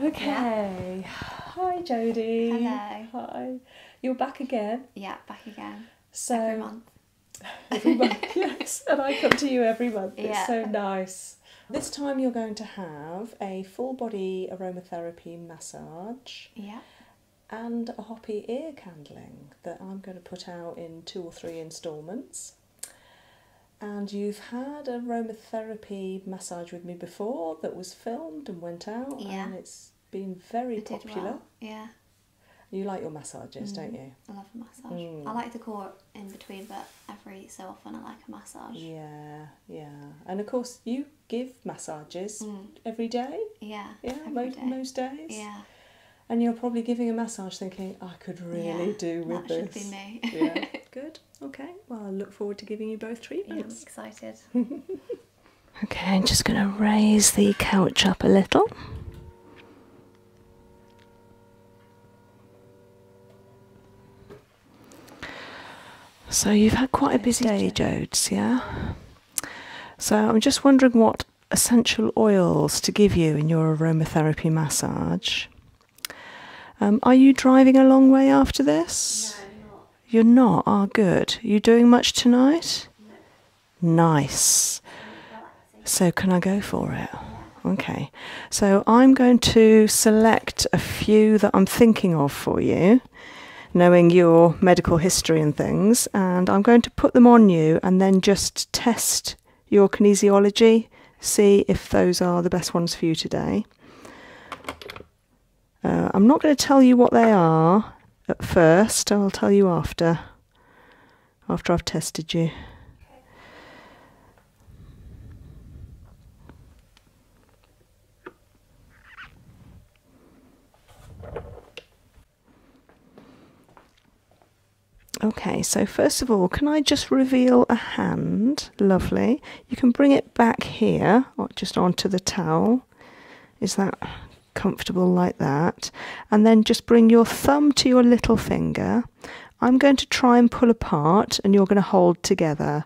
Okay. Hi Jody. Hello. Hi. You're back again. Yeah, back again. So every month. yes. And I come to you every month. It's so nice. This time you're going to have a full body aromatherapy massage. Yeah. And a hoppy ear candling that I'm going to put out in two or three instalments. And you've had a aromatherapy therapy massage with me before that was filmed and went out, and it's been very popular. Yeah. You like your massages, don't mm. you? I love a massage. I mm. like the core in between, but every so often I like a massage. Yeah, yeah. And of course, you give massages mm. every day. Yeah. Yeah, most days. Yeah. And you're probably giving a massage thinking, I could really do with that should be me. yeah, good. Okay. Well, I look forward to giving you both treatments. I'm excited. okay, I'm just going to raise the couch up a little. So you've had quite a busy day, Jodes, yeah? So I'm just wondering what essential oils to give you in your aromatherapy massage. Um, are you driving a long way after this? You're not? Ah, good. You doing much tonight? Nice. So, can I go for it? Okay. So, I'm going to select a few that I'm thinking of for you, knowing your medical history and things, and I'm going to put them on you and then just test your kinesiology, see if those are the best ones for you today. Uh, I'm not going to tell you what they are at first, I'll tell you after, after I've tested you. Okay, so first of all, can I just reveal a hand? Lovely. You can bring it back here, or just onto the towel. Is that comfortable like that? And then just bring your thumb to your little finger. I'm going to try and pull apart, and you're going to hold together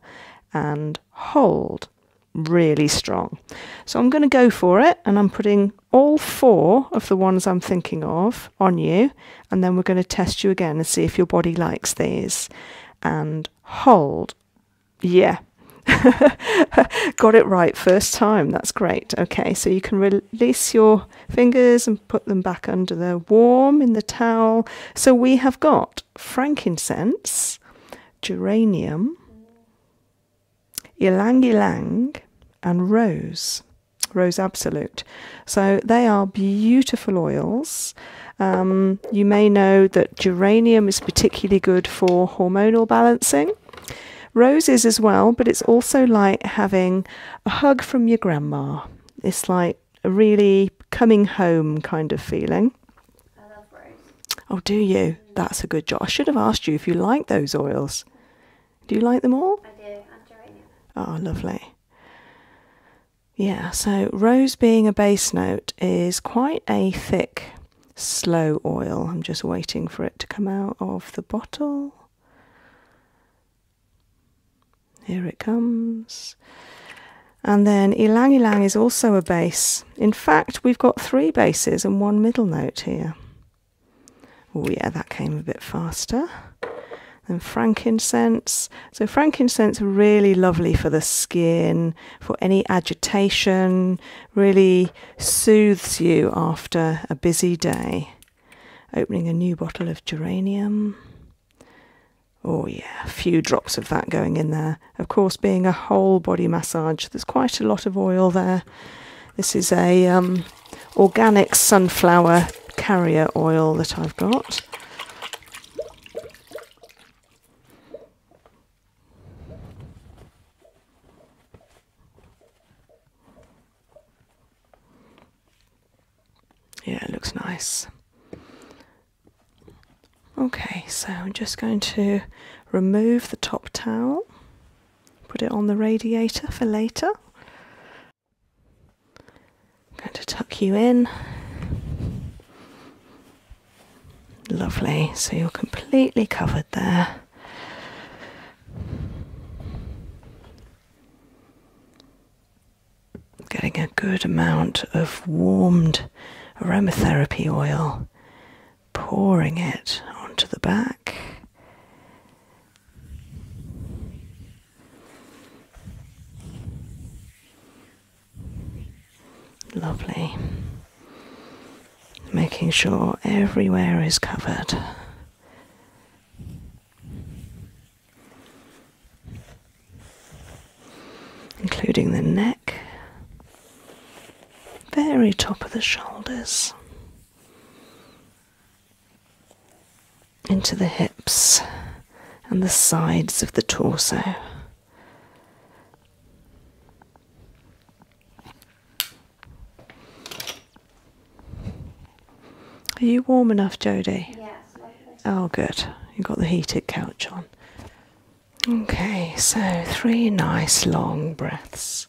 and hold really strong. So I'm going to go for it and I'm putting all four of the ones I'm thinking of on you and then we're going to test you again and see if your body likes these and hold yeah, got it right first time. That's great. Okay, so you can release your fingers and put them back under the warm in the towel. So we have got frankincense, geranium, ylang ylang, and rose, rose absolute. So they are beautiful oils. Um, you may know that geranium is particularly good for hormonal balancing. Roses as well, but it's also like having a hug from your grandma. It's like a really coming home kind of feeling. I love rose. Oh, do you? That's a good job. I should have asked you if you like those oils. Do you like them all? I do, I and geranium. Oh, lovely. Yeah, so rose being a bass note is quite a thick, slow oil. I'm just waiting for it to come out of the bottle. Here it comes. And then Ilang Ilang is also a bass. In fact, we've got three basses and one middle note here. Oh yeah, that came a bit faster. Then frankincense. So frankincense really lovely for the skin, for any agitation, really soothes you after a busy day. Opening a new bottle of geranium. Oh yeah, a few drops of that going in there. Of course, being a whole body massage, there's quite a lot of oil there. This is a um, organic sunflower carrier oil that I've got. Yeah, it looks nice. Okay, so I'm just going to remove the top towel, put it on the radiator for later. going to tuck you in. Lovely, so you're completely covered there. Getting a good amount of warmed aromatherapy oil, pouring it onto the back. Lovely. Making sure everywhere is covered. Including the neck, very top of the shoulders, into the hips and the sides of the torso. Are you warm enough, Jodie? Yes. Oh, good. You got the heated couch on. Okay, so three nice long breaths.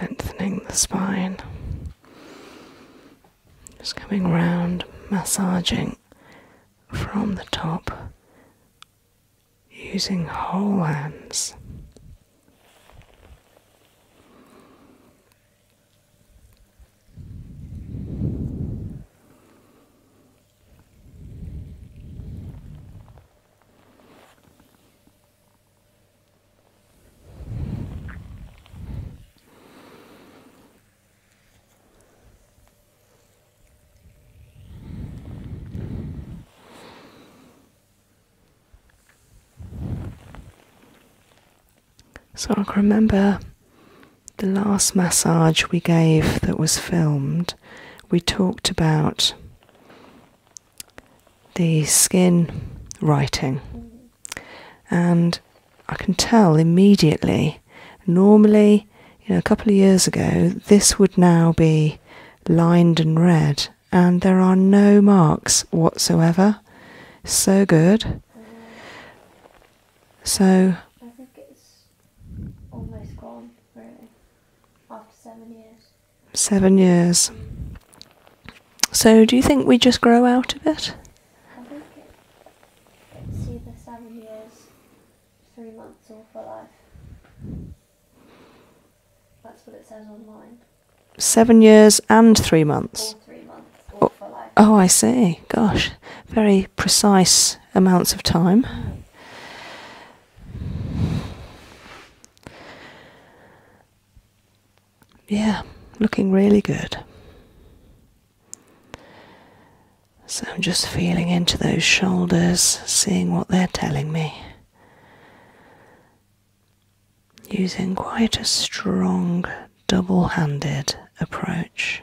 lengthening the spine. Just coming round, massaging from the top using whole hands. So I can remember the last massage we gave that was filmed, we talked about the skin writing. And I can tell immediately, normally, you know, a couple of years ago, this would now be lined and red, and there are no marks whatsoever. So good. So. I think it's almost gone, really, after seven years. Seven years. So, do you think we just grow out of it? seven years, three months, or for life. That's what it says online. Seven years and three months? Oh, oh, I see. Gosh, very precise amounts of time. Yeah, looking really good. So I'm just feeling into those shoulders, seeing what they're telling me. Using quite a strong double handed approach.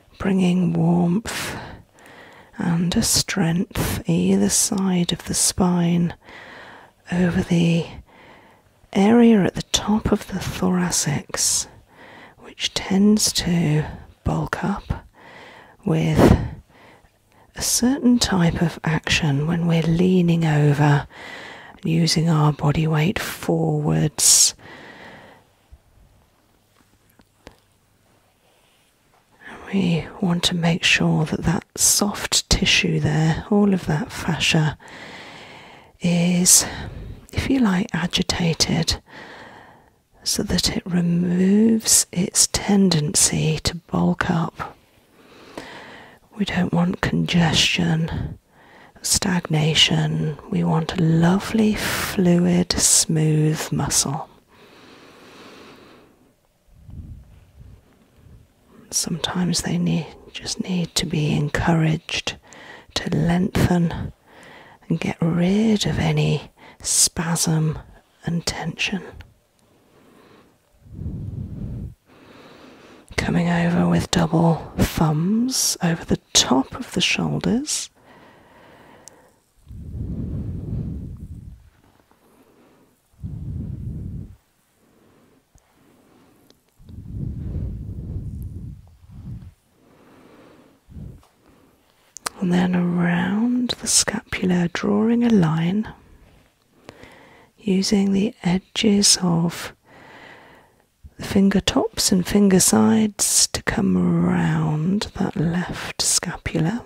bringing warmth and a strength either side of the spine over the area at the top of the thorax, which tends to bulk up with a certain type of action when we're leaning over, using our body weight forwards. We want to make sure that that soft tissue there, all of that fascia, is, if you like, agitated so that it removes its tendency to bulk up. We don't want congestion, stagnation, we want a lovely, fluid, smooth muscle. Sometimes they need, just need to be encouraged to lengthen and get rid of any spasm and tension. Coming over with double thumbs over the top of the shoulders and then around the scapula, drawing a line using the edges of the finger tops and finger sides to come around that left scapula.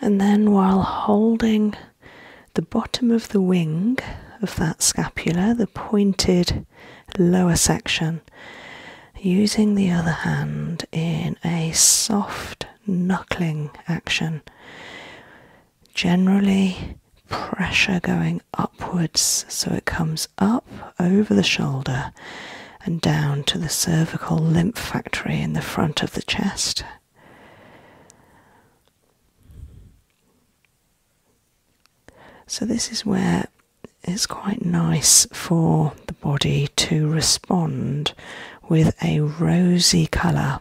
And then, while holding the bottom of the wing of that scapula, the pointed lower section, using the other hand in a soft knuckling action, generally pressure going upwards so it comes up over the shoulder and down to the cervical lymph factory in the front of the chest. So, this is where it's quite nice for the body to respond with a rosy colour.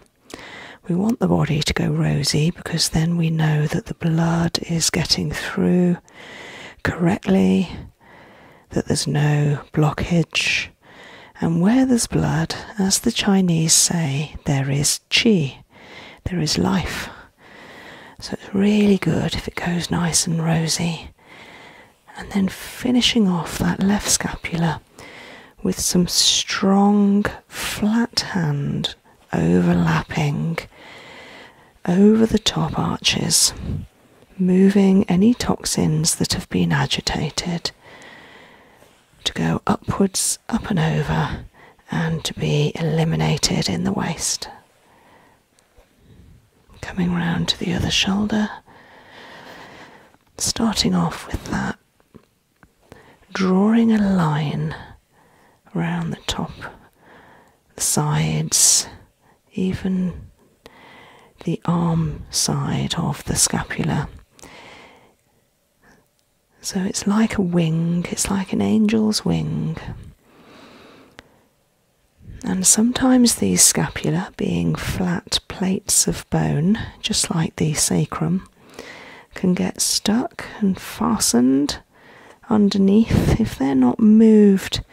We want the body to go rosy because then we know that the blood is getting through correctly that there's no blockage. And where there's blood, as the Chinese say, there is qi, there is life. So it's really good if it goes nice and rosy. And then finishing off that left scapula with some strong flat hand overlapping over the top arches, moving any toxins that have been agitated to go upwards, up and over, and to be eliminated in the waist. Coming round to the other shoulder, starting off with that, drawing a line around the top, the sides, even the arm side of the scapula. So it's like a wing, it's like an angel's wing. And sometimes these scapula, being flat plates of bone, just like the sacrum, can get stuck and fastened underneath if they're not moved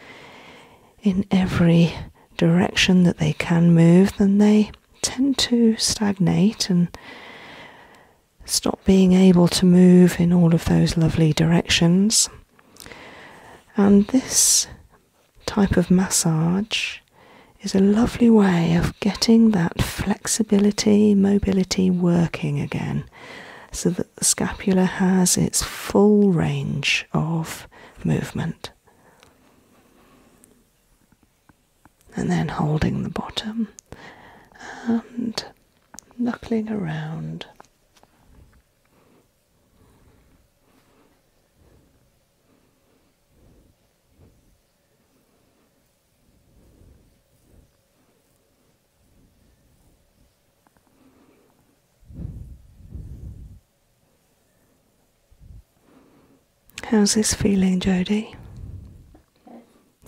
in every direction that they can move, then they tend to stagnate and stop being able to move in all of those lovely directions. And this type of massage is a lovely way of getting that flexibility, mobility working again so that the scapula has its full range of movement and then holding the bottom and knuckling around. How's this feeling, Jody?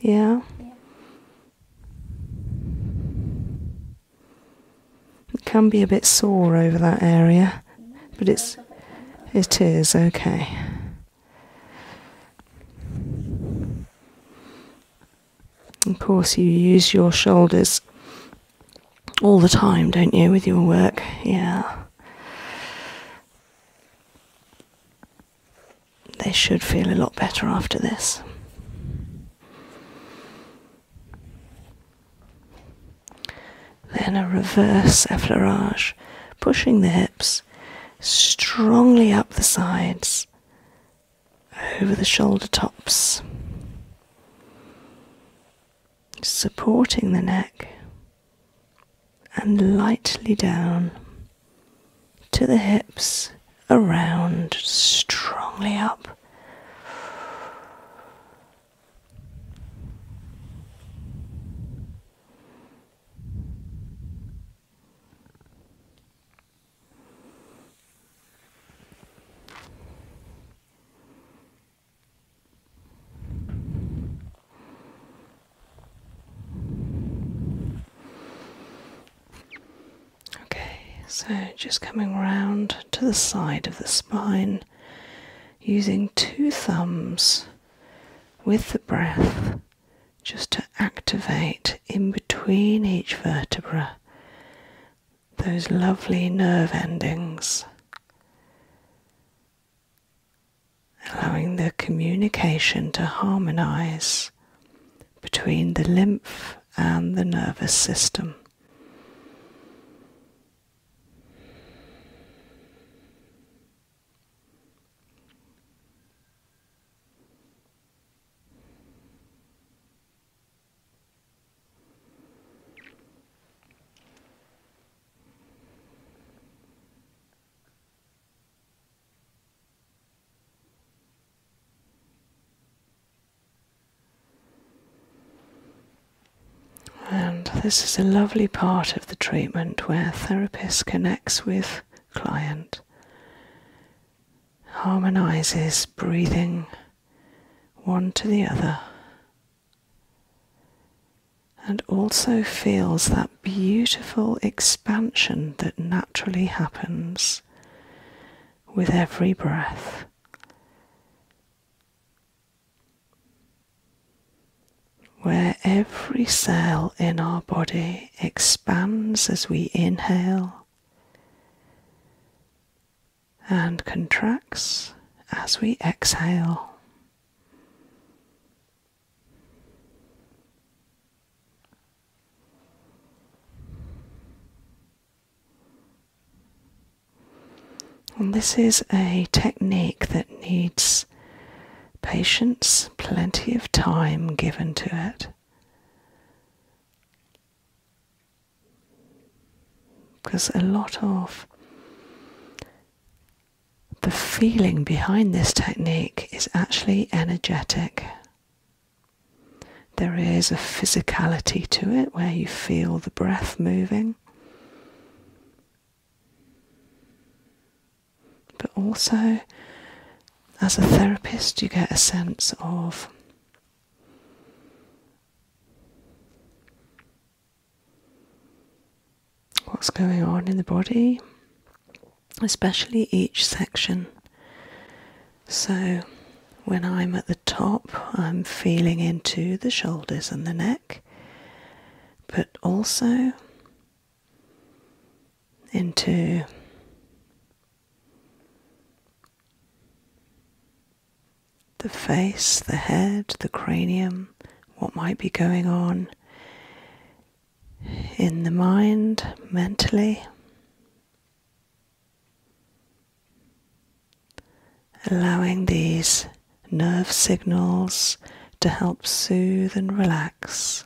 Yeah? yeah. It can be a bit sore over that area, but it's it is okay. Of course, you use your shoulders all the time, don't you, with your work? Yeah. They should feel a lot better after this. Then a reverse effleurage, pushing the hips strongly up the sides, over the shoulder tops supporting the neck and lightly down to the hips, around, strongly up. Okay, so just coming round to the side of the spine using two thumbs with the breath just to activate in between each vertebra those lovely nerve endings allowing the communication to harmonize between the lymph and the nervous system. And this is a lovely part of the treatment where therapist connects with client, harmonizes breathing one to the other, and also feels that beautiful expansion that naturally happens with every breath. Where every cell in our body expands as we inhale and contracts as we exhale. And this is a technique that needs patience, plenty of time given to it. Because a lot of the feeling behind this technique is actually energetic. There is a physicality to it where you feel the breath moving, but also as a therapist, you get a sense of what's going on in the body, especially each section. So, when I'm at the top, I'm feeling into the shoulders and the neck, but also into the face, the head, the cranium, what might be going on in the mind mentally. Allowing these nerve signals to help soothe and relax.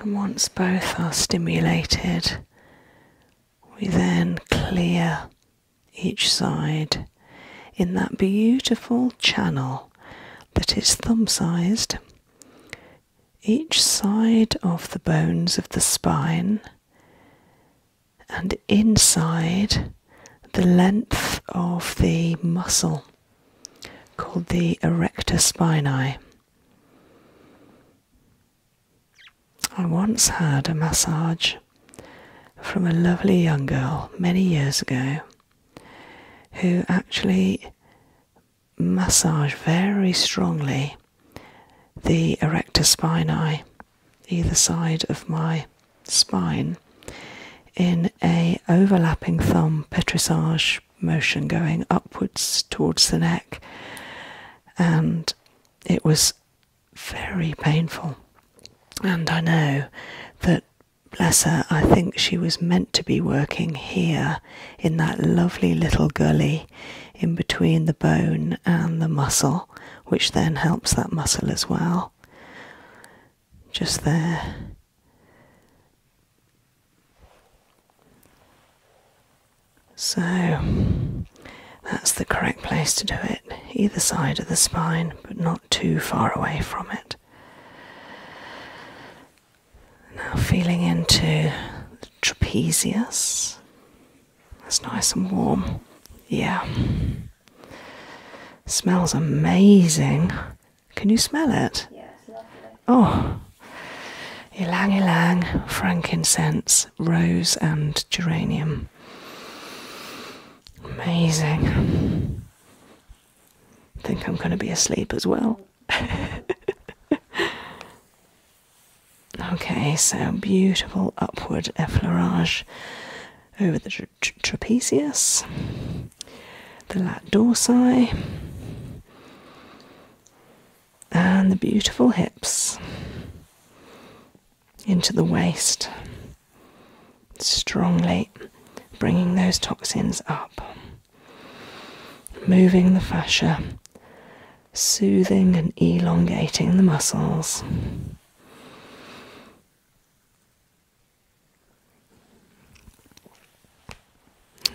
And once both are stimulated, we then clear each side in that beautiful channel that is thumb sized. Each side of the bones of the spine and inside the length of the muscle called the erector spinae. I once had a massage from a lovely young girl many years ago who actually massaged very strongly the erector spinae, either side of my spine, in a overlapping thumb petrissage motion going upwards towards the neck, and it was very painful. And I know that, bless her, I think she was meant to be working here in that lovely little gully in between the bone and the muscle, which then helps that muscle as well. Just there. So that's the correct place to do it, either side of the spine, but not too far away from it. Now, feeling into the trapezius, it's nice and warm. Yeah. Smells amazing. Can you smell it? Yeah, Oh. Ylang ylang, frankincense, rose, and geranium. Amazing. I think I'm going to be asleep as well. Okay, so beautiful upward effleurage over the trapezius, the latissimus, and the beautiful hips into the waist, strongly bringing those toxins up, moving the fascia soothing and elongating the muscles.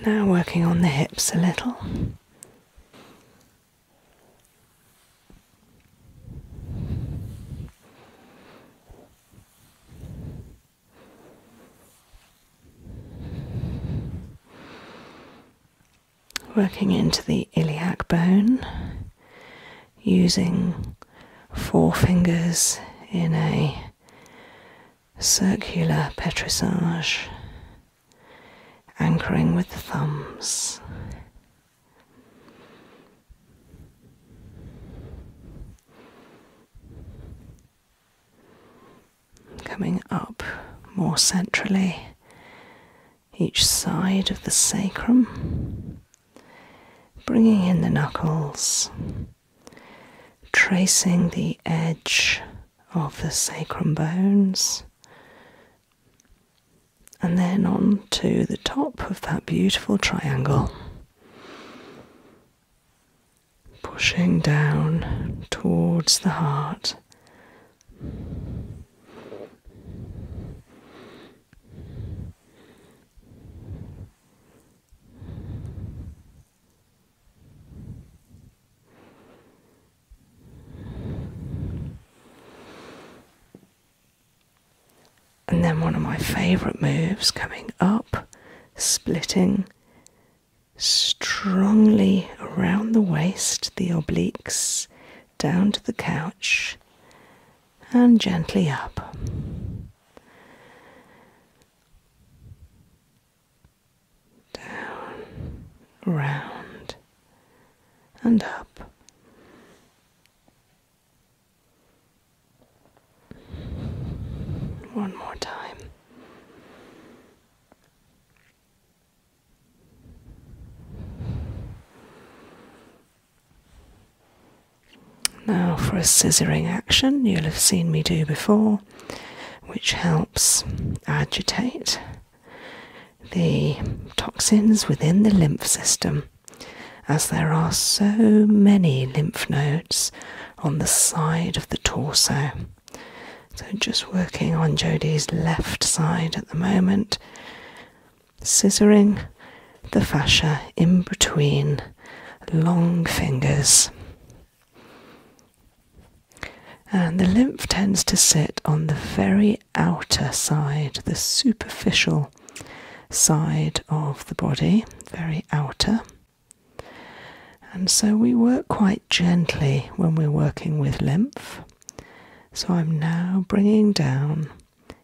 Now, working on the hips a little working into the iliac bone, using four fingers in a circular petrissage, anchoring with the thumbs. Coming up more centrally each side of the sacrum, bringing in the knuckles, tracing the edge of the sacrum bones, and then on to the top of that beautiful triangle. Pushing down towards the heart and then one of my favourite moves coming up, splitting strongly around the waist, the obliques, down to the couch and gently up. Down, round, and up. One more time. Now, for a scissoring action, you'll have seen me do before, which helps agitate the toxins within the lymph system, as there are so many lymph nodes on the side of the torso. So, just working on Jody's left side at the moment scissoring the fascia in between long fingers. And the lymph tends to sit on the very outer side, the superficial side of the body, very outer. And so we work quite gently when we're working with lymph. So I'm now bringing down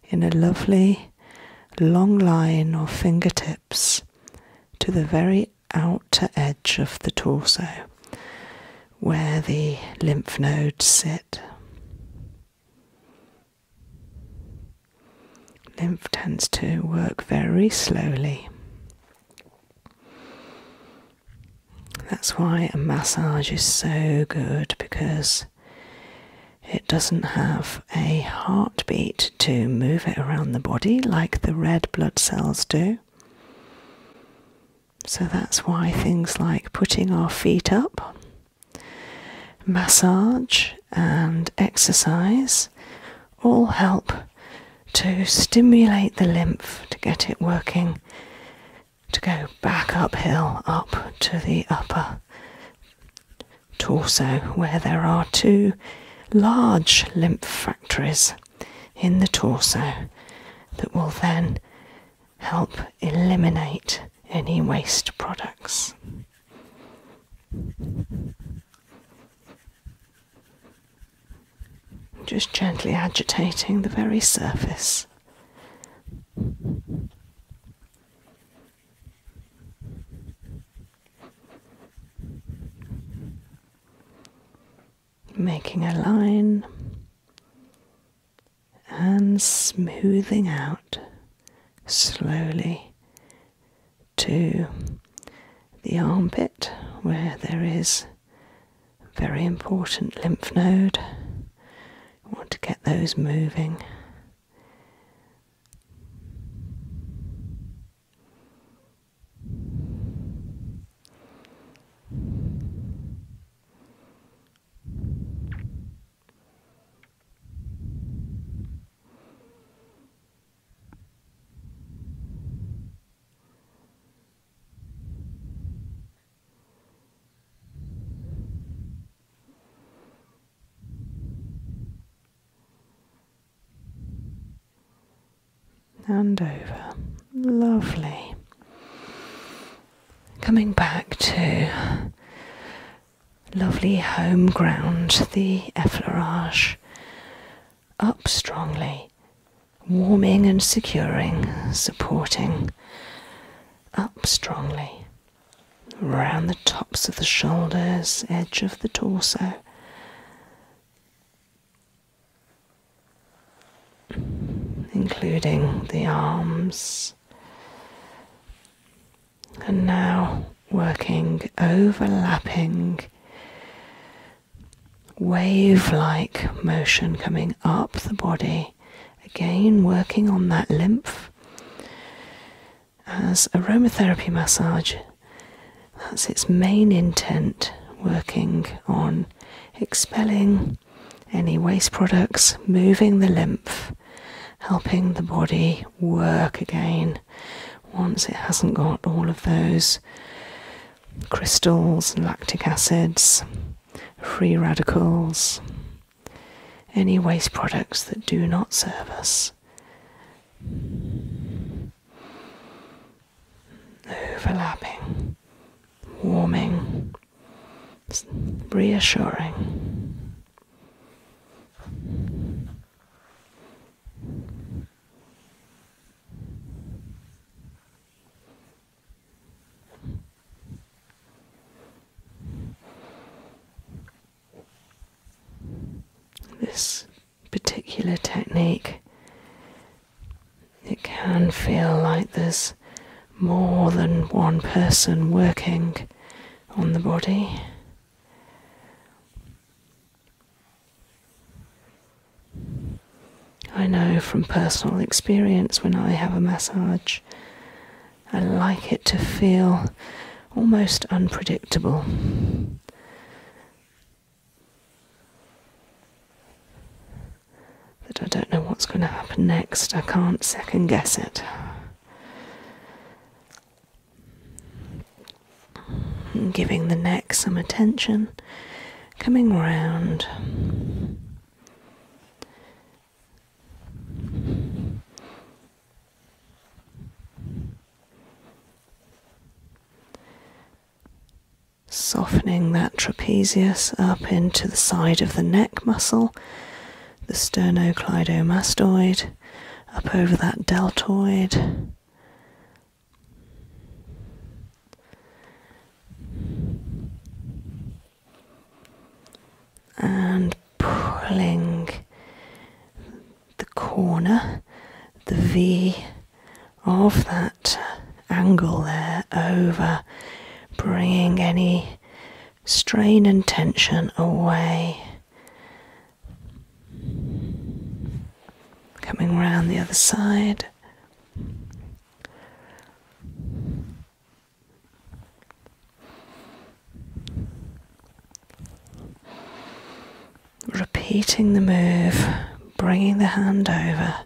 in a lovely long line of fingertips to the very outer edge of the torso where the lymph nodes sit. Lymph tends to work very slowly. That's why a massage is so good because it doesn't have a heartbeat to move it around the body like the red blood cells do. So that's why things like putting our feet up, massage, and exercise all help to stimulate the lymph to get it working to go back uphill up to the upper torso where there are two large lymph factories in the torso that will then help eliminate any waste products. Just gently agitating the very surface Making a line and smoothing out slowly to the armpit where there is a very important lymph node I want to get those moving and over. Lovely. Coming back to lovely home ground, the effleurage. Up strongly, warming and securing, supporting. Up strongly, around the tops of the shoulders, edge of the torso. Including the arms, and now working overlapping wave like motion coming up the body Again, working on that lymph. As aromatherapy massage, that's its main intent, working on expelling any waste products, moving the lymph, helping the body work again once it hasn't got all of those crystals and lactic acids, free radicals, any waste products that do not serve us overlapping warming reassuring this particular technique, it can feel like there's more than one person working on the body. I know from personal experience when I have a massage I like it to feel almost unpredictable. That I don't know what's going to happen next. I can't second guess it. giving the neck some attention, coming round, Softening that trapezius up into the side of the neck muscle, the sternocleidomastoid, up over that deltoid and pulling the corner, the V of that angle there over, bringing any strain and tension away. Coming round the other side. Repeating the move, bringing the hand over.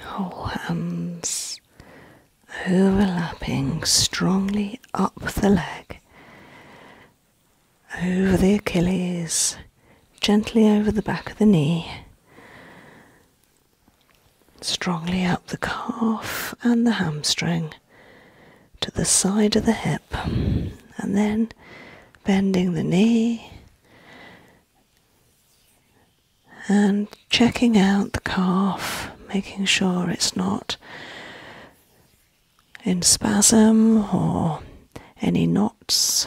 Whole hands overlapping strongly up the leg over the Achilles, gently over the back of the knee, strongly up the calf and the hamstring to the side of the hip, and then bending the knee and checking out the calf, making sure it's not in spasm or any knots.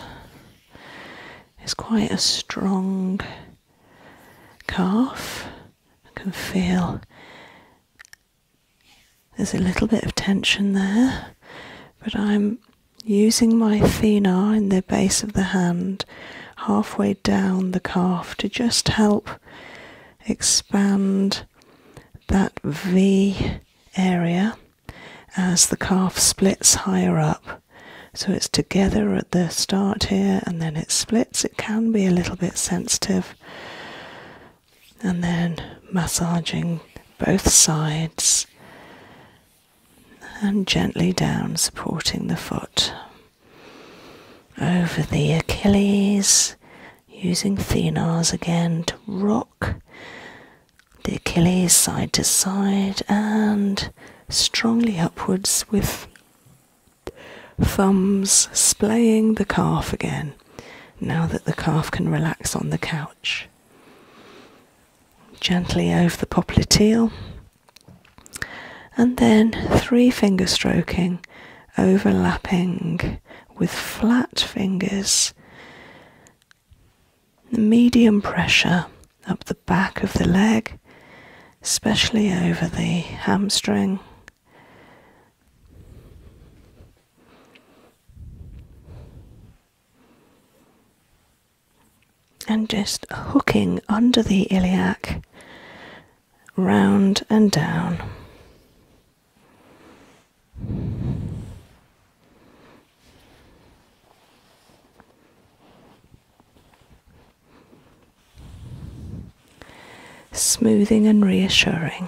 It's quite a strong calf. I can feel there's a little bit of tension there, but I'm using my thenar in the base of the hand halfway down the calf to just help expand that V area as the calf splits higher up. So it's together at the start here and then it splits. It can be a little bit sensitive. And then massaging both sides and gently down, supporting the foot over the Achilles using phenars again to rock the Achilles side to side and strongly upwards with thumbs splaying the calf again now that the calf can relax on the couch. Gently over the poplar teal, and then three finger stroking, overlapping with flat fingers. Medium pressure up the back of the leg, especially over the hamstring. And just hooking under the iliac, round and down. Smoothing and reassuring.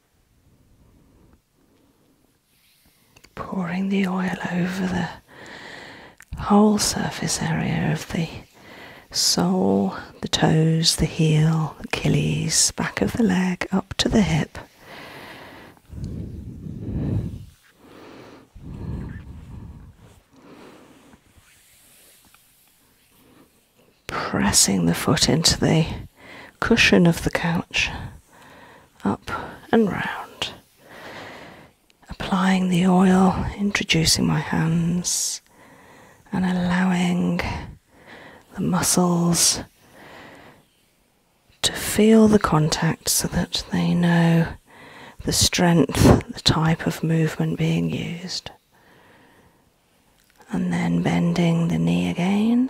pouring the oil over the whole surface area of the sole, the toes, the heel, Achilles, back of the leg, up to the hip pressing the foot into the cushion of the couch, up and round, applying the oil, introducing my hands, and allowing the muscles to feel the contact so that they know the strength, the type of movement being used and then bending the knee again.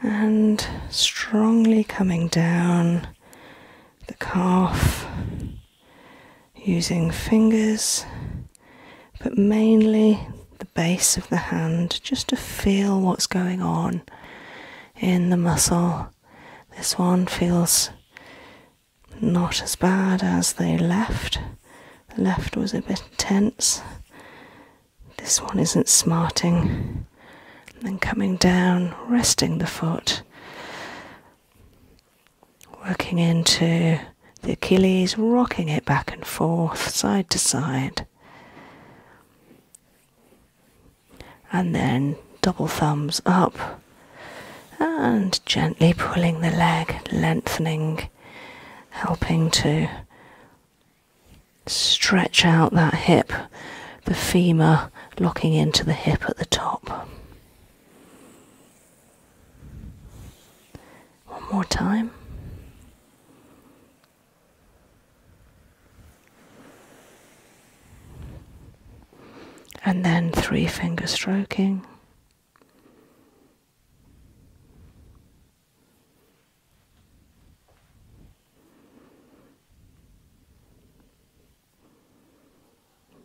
And strongly coming down the calf using fingers, but mainly the base of the hand just to feel what's going on in the muscle. This one feels not as bad as they left. The left was a bit tense. This one isn't smarting. then coming down, resting the foot, working into the Achilles, rocking it back and forth, side to side. And then double thumbs up and gently pulling the leg, lengthening, helping to stretch out that hip, the femur locking into the hip at the top. One more time. And then three finger stroking.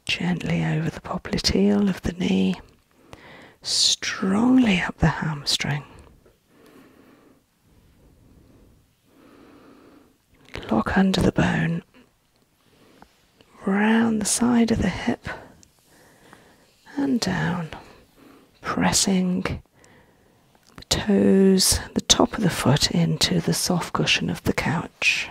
Gently over the popliteal of the knee, strongly up the hamstring. Lock under the bone round the side of the hip and down, pressing the toes, the top of the foot into the soft cushion of the couch.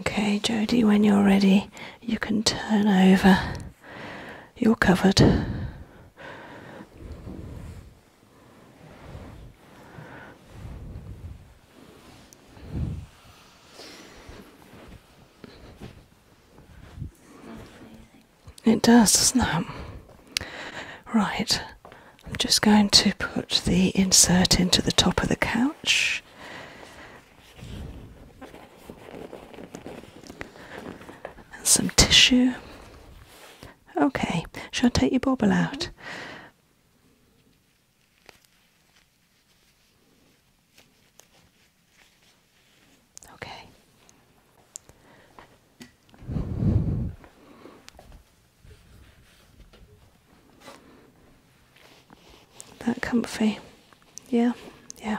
Okay, Jody, when you're ready, you can turn over. You're covered. It does, doesn't it? Right, I'm just going to put the insert into the top of the couch and some tissue. Okay, shall I take your bobble out? Okay. That comfy. Yeah, yeah.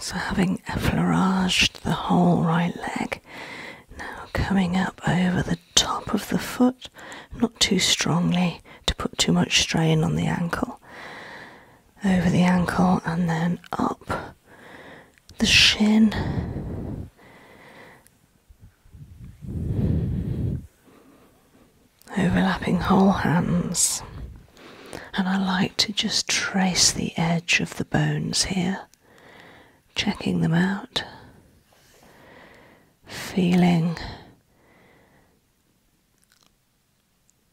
So, having effleuraged the whole right leg, now coming up over the top of the foot, not too strongly to put too much strain on the ankle, over the ankle and then up the shin. Overlapping whole hands and I like to just trace the edge of the bones here, checking them out, feeling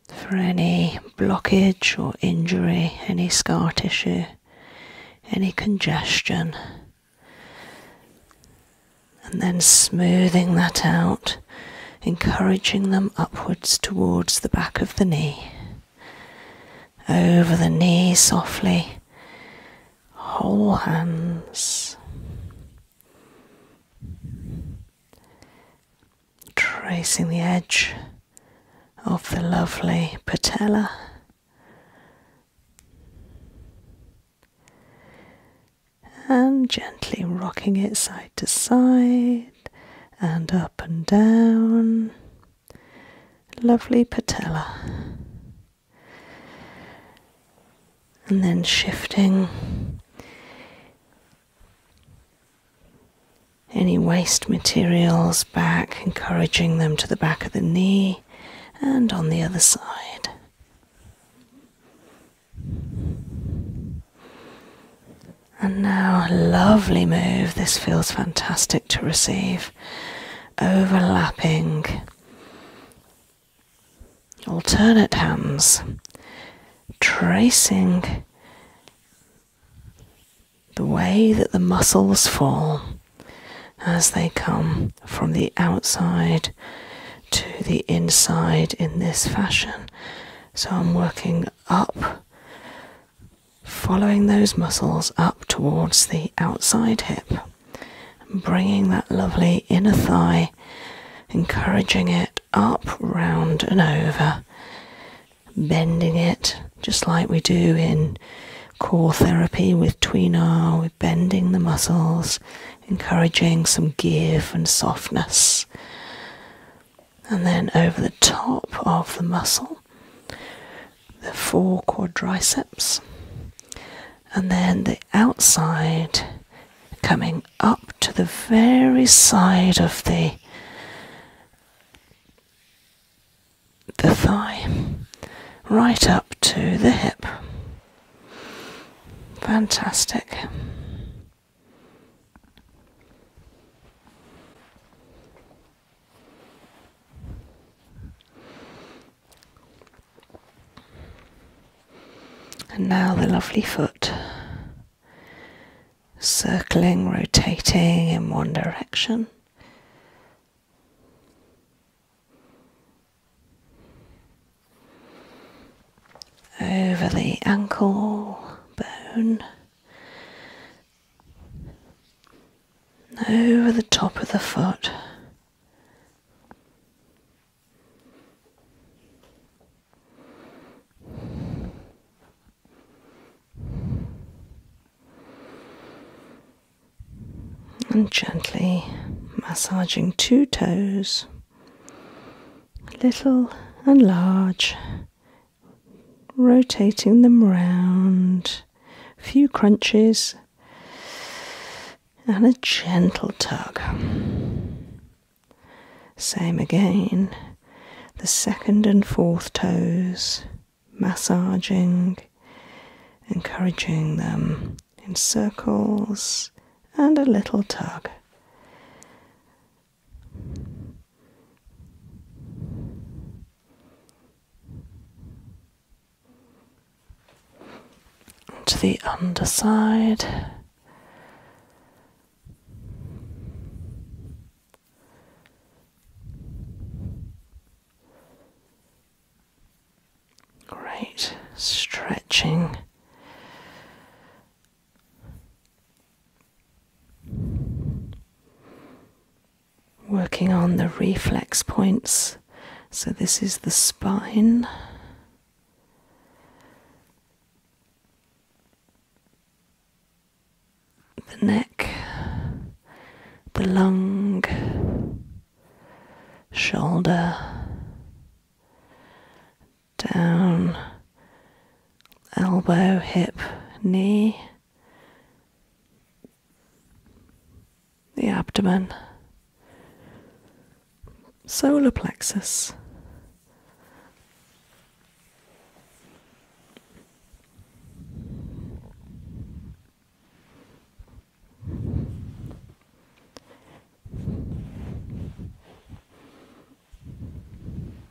for any blockage or injury, any scar tissue, any congestion, and then smoothing that out, encouraging them upwards towards the back of the knee over the knee softly, whole hands. Tracing the edge of the lovely patella. And gently rocking it side to side and up and down. Lovely patella. And then shifting any waste materials back, encouraging them to the back of the knee and on the other side. And now a lovely move, this feels fantastic to receive. Overlapping alternate hands, tracing the way that the muscles fall as they come from the outside to the inside in this fashion. So I'm working up following those muscles up towards the outside hip, bringing that lovely inner thigh, encouraging it up, round, and over, bending it just like we do in core therapy with tweenar. We're bending the muscles, encouraging some give and softness and then over the top of the muscle, the four quadriceps, and then the outside coming up to the very side of the thigh right up to the hip fantastic and now the lovely foot circling, rotating in one direction. Over the ankle bone over the top of the foot. And gently massaging two toes, little and large, rotating them round, a few crunches, and a gentle tug. Same again, the second and fourth toes, massaging, encouraging them in circles and a little tug to the underside. Great, stretching Working on the reflex points. So, this is the spine. The neck, the lung, shoulder, down, elbow, hip, knee, the abdomen, solar plexus.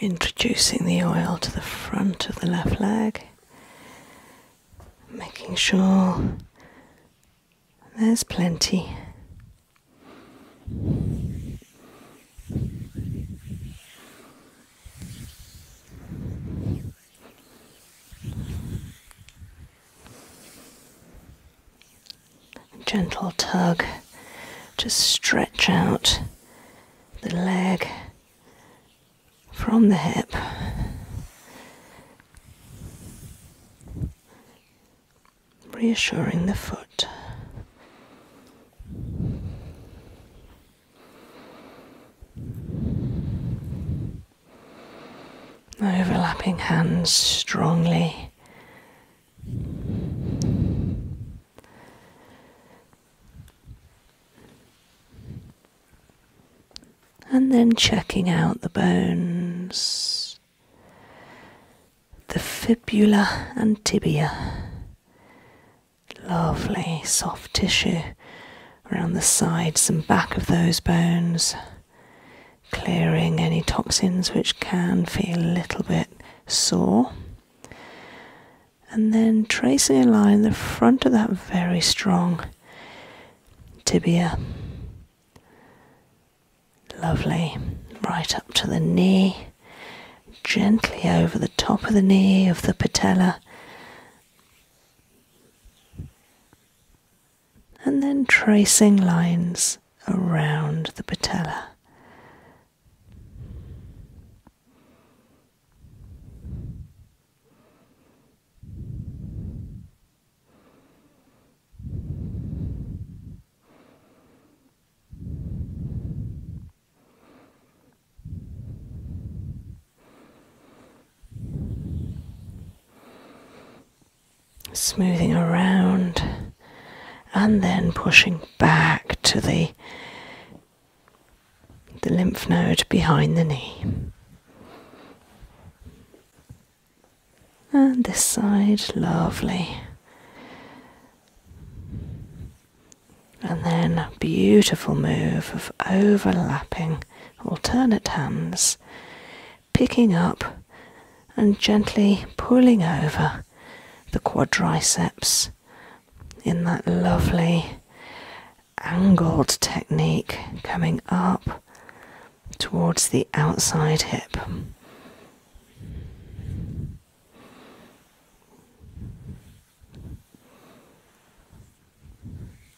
Introducing the oil to the front of the left leg, making sure there's plenty. Gentle tug just stretch out the leg from the hip. Reassuring the foot overlapping hands strongly. And then checking out the bones, the fibula and tibia. Lovely soft tissue around the sides and back of those bones clearing any toxins which can feel a little bit sore. And then tracing a line the front of that very strong tibia. Lovely. Right up to the knee. Gently over the top of the knee, of the patella and then tracing lines around the patella smoothing around and then pushing back to the the lymph node behind the knee. And this side, lovely. And then beautiful move of overlapping alternate hands picking up and gently pulling over the quadriceps in that lovely angled technique coming up towards the outside hip.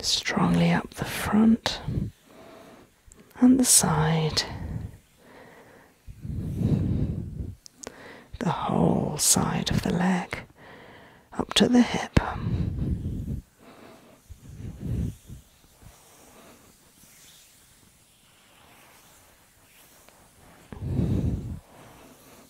strongly up the front and the side, the whole side of the leg up to the hip.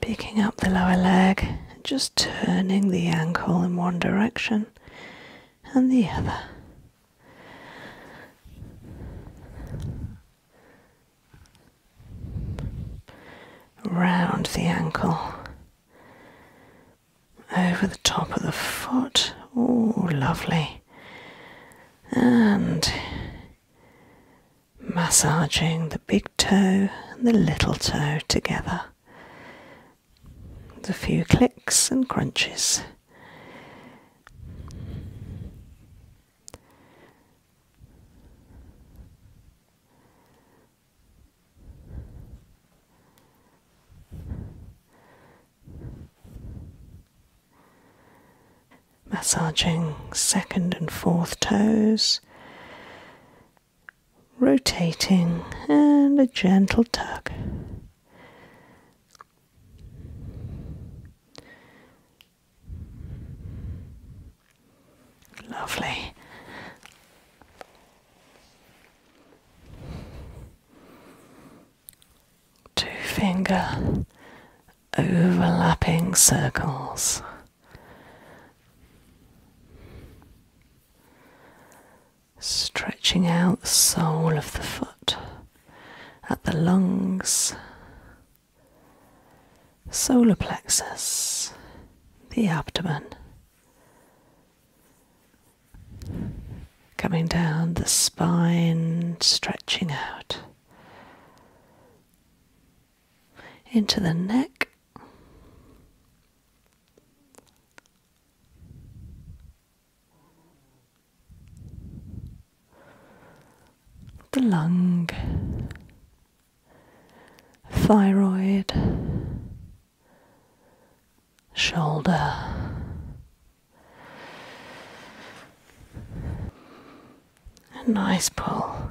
picking up the lower leg, just turning the ankle in one direction and the other. Round the ankle, over the top of the foot. Oh, lovely. And massaging the big toe and the little toe together. With a few clicks and crunches. Massaging second and fourth toes, rotating and a gentle tug. Lovely. Two finger overlapping circles. Stretching out the sole of the foot at the lungs, solar plexus, the abdomen, coming down the spine, stretching out into the neck the lung, thyroid, shoulder, a nice pull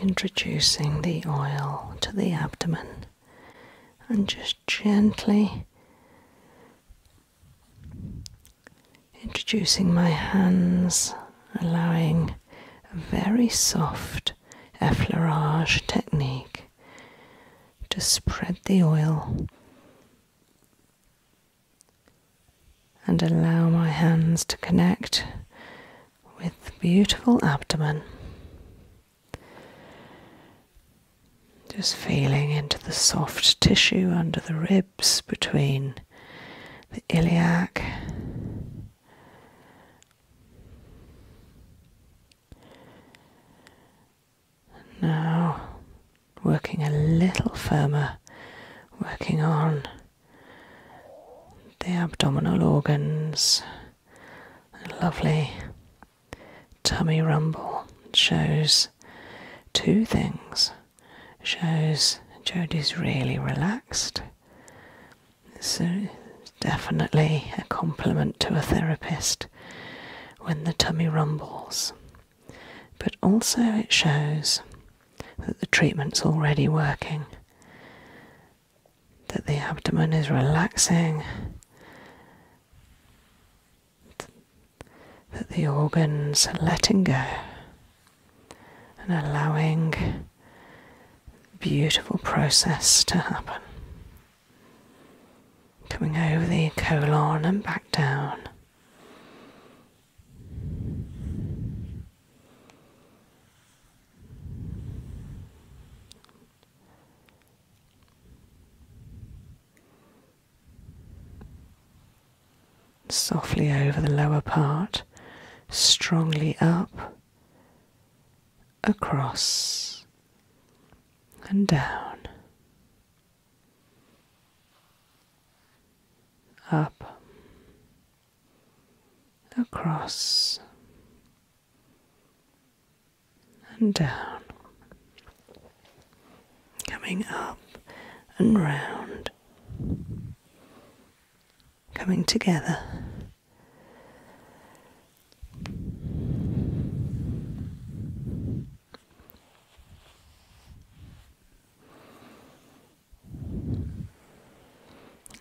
Introducing the oil to the abdomen and just gently introducing my hands, allowing a very soft effleurage technique to spread the oil and allow my hands to connect with beautiful abdomen. Just feeling into the soft tissue under the ribs between the iliac now working a little firmer, working on the abdominal organs. lovely tummy rumble shows two things. Shows Jodie's really relaxed. So definitely a compliment to a therapist when the tummy rumbles but also it shows that the treatment's already working, that the abdomen is relaxing, that the organs are letting go and allowing a beautiful process to happen. Coming over the colon and back down, Softly over the lower part, strongly up, across, and down up, across, and down, coming up and round, coming together.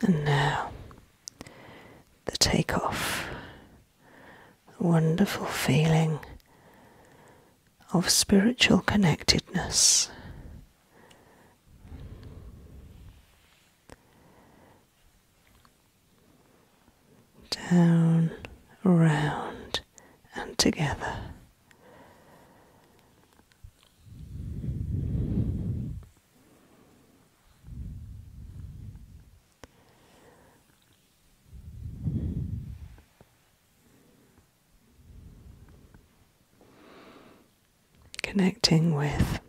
And now the takeoff. The wonderful feeling of spiritual connectedness. Down, round, and together. Connecting with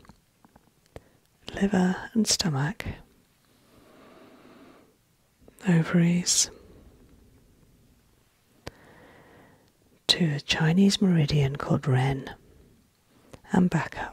liver and stomach, ovaries, to a Chinese meridian called Ren and back up.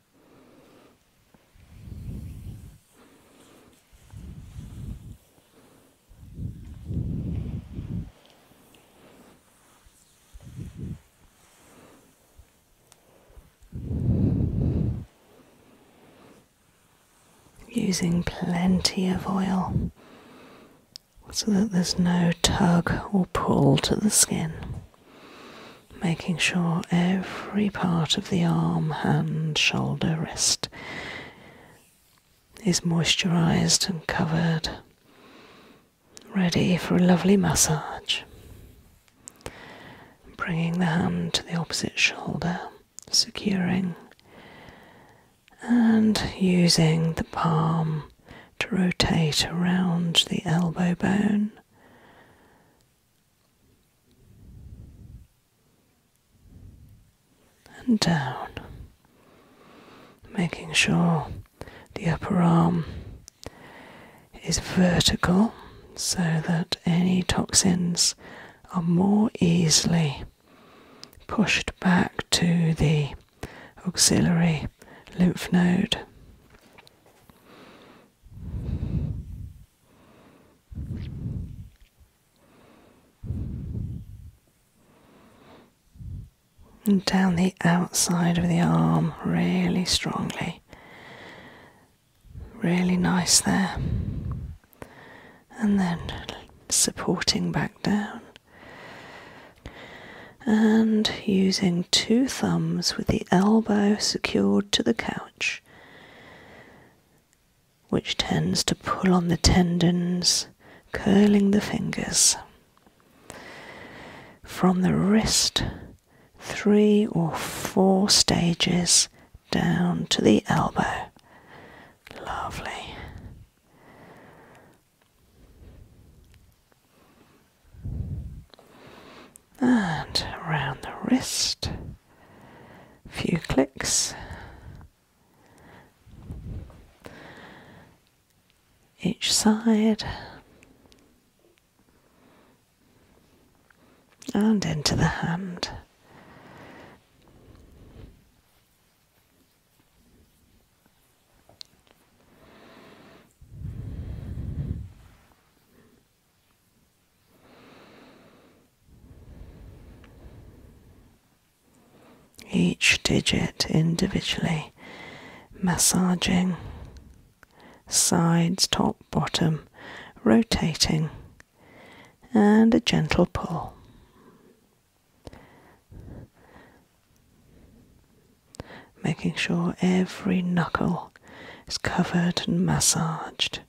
Using plenty of oil so that there's no tug or pull to the skin making sure every part of the arm, hand, shoulder, wrist is moisturized and covered, ready for a lovely massage. Bringing the hand to the opposite shoulder, securing and using the palm to rotate around the elbow bone and down, making sure the upper arm is vertical so that any toxins are more easily pushed back to the auxiliary lymph node. And down the outside of the arm, really strongly. Really nice there. And then supporting back down and using two thumbs with the elbow secured to the couch, which tends to pull on the tendons, curling the fingers. From the wrist, three or four stages down to the elbow. Lovely and around the wrist. A few clicks. Each side and into the hand. Each digit individually massaging sides, top, bottom, rotating, and a gentle pull making sure every knuckle is covered and massaged.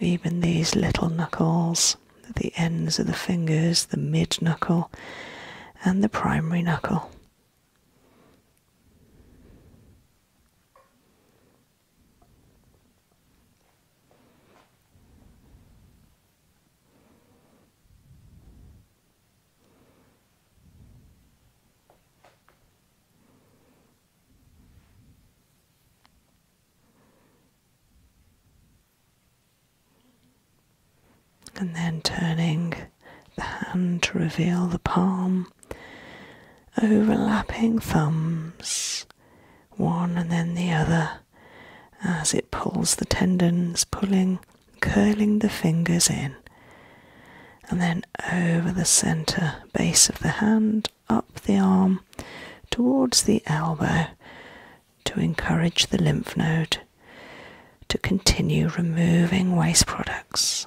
Even these little knuckles, the ends of the fingers, the mid knuckle, and the primary knuckle. And then turning the hand to reveal the palm, overlapping thumbs, one and then the other, as it pulls the tendons, pulling, curling the fingers in. And then over the center base of the hand, up the arm, towards the elbow to encourage the lymph node to continue removing waste products.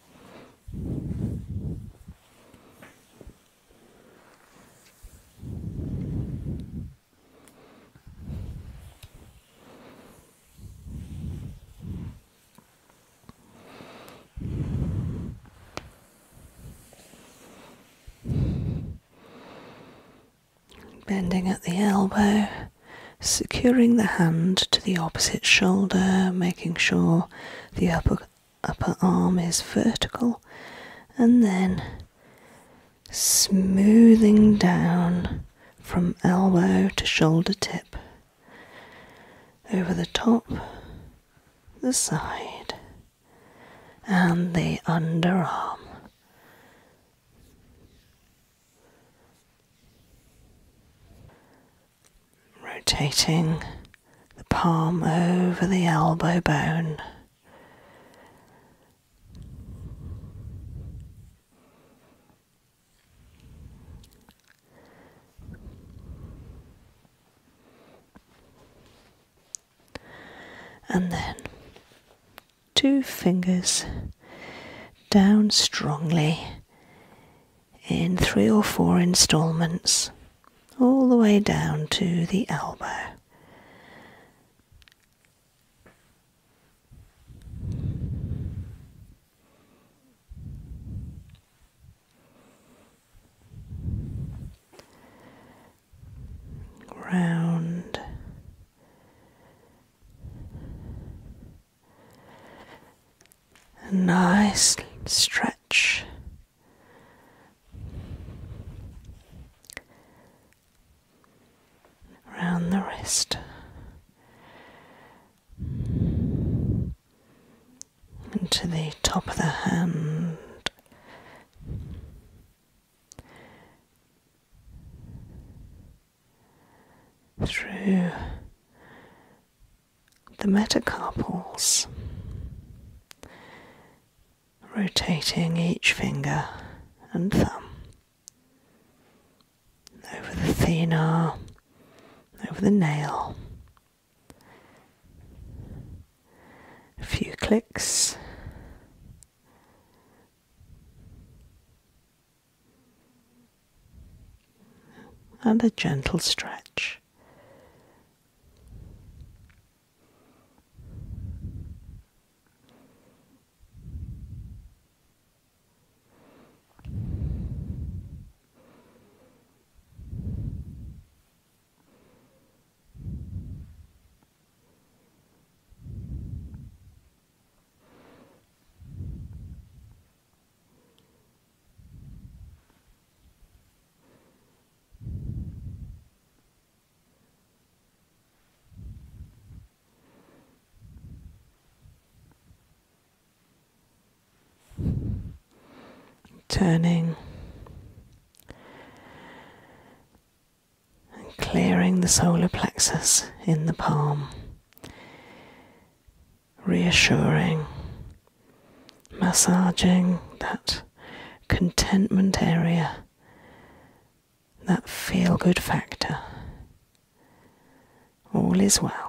Bending at the elbow, securing the hand to the opposite shoulder, making sure the upper upper arm is vertical and then smoothing down from elbow to shoulder tip over the top the side and the underarm rotating the palm over the elbow bone. And then two fingers down strongly in three or four installments, all the way down to the elbow. Round a nice stretch. Around the wrist, into the top of the hand, through the metacarpals, rotating each finger and thumb over the thenar, over the nail. A few clicks and a gentle stretch. Turning and clearing the solar plexus in the palm, reassuring, massaging that contentment area, that feel good factor. All is well.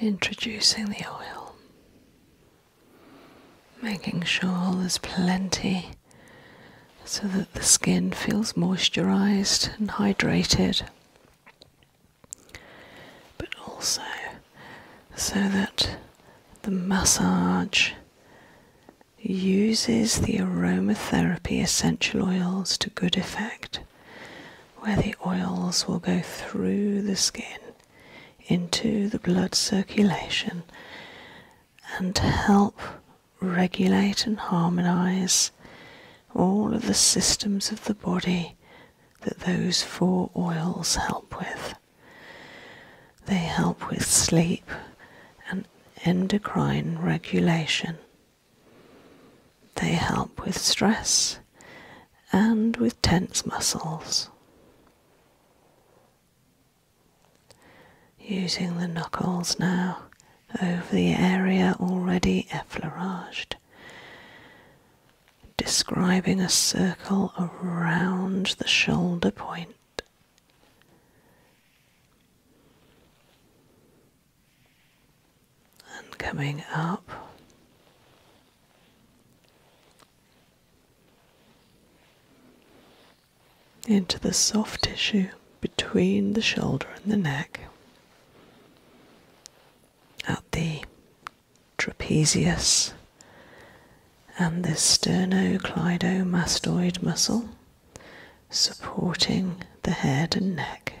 Introducing the oil, making sure there's plenty so that the skin feels moisturized and hydrated but also so that the massage uses the aromatherapy essential oils to good effect, where the oils will go through the skin into the blood circulation and help regulate and harmonize all of the systems of the body that those four oils help with. They help with sleep and endocrine regulation. They help with stress and with tense muscles. Using the knuckles now over the area already effleuraged, describing a circle around the shoulder And coming up. Into the soft tissue between the shoulder and the neck, at the trapezius and the sternocleidomastoid muscle supporting the head and neck.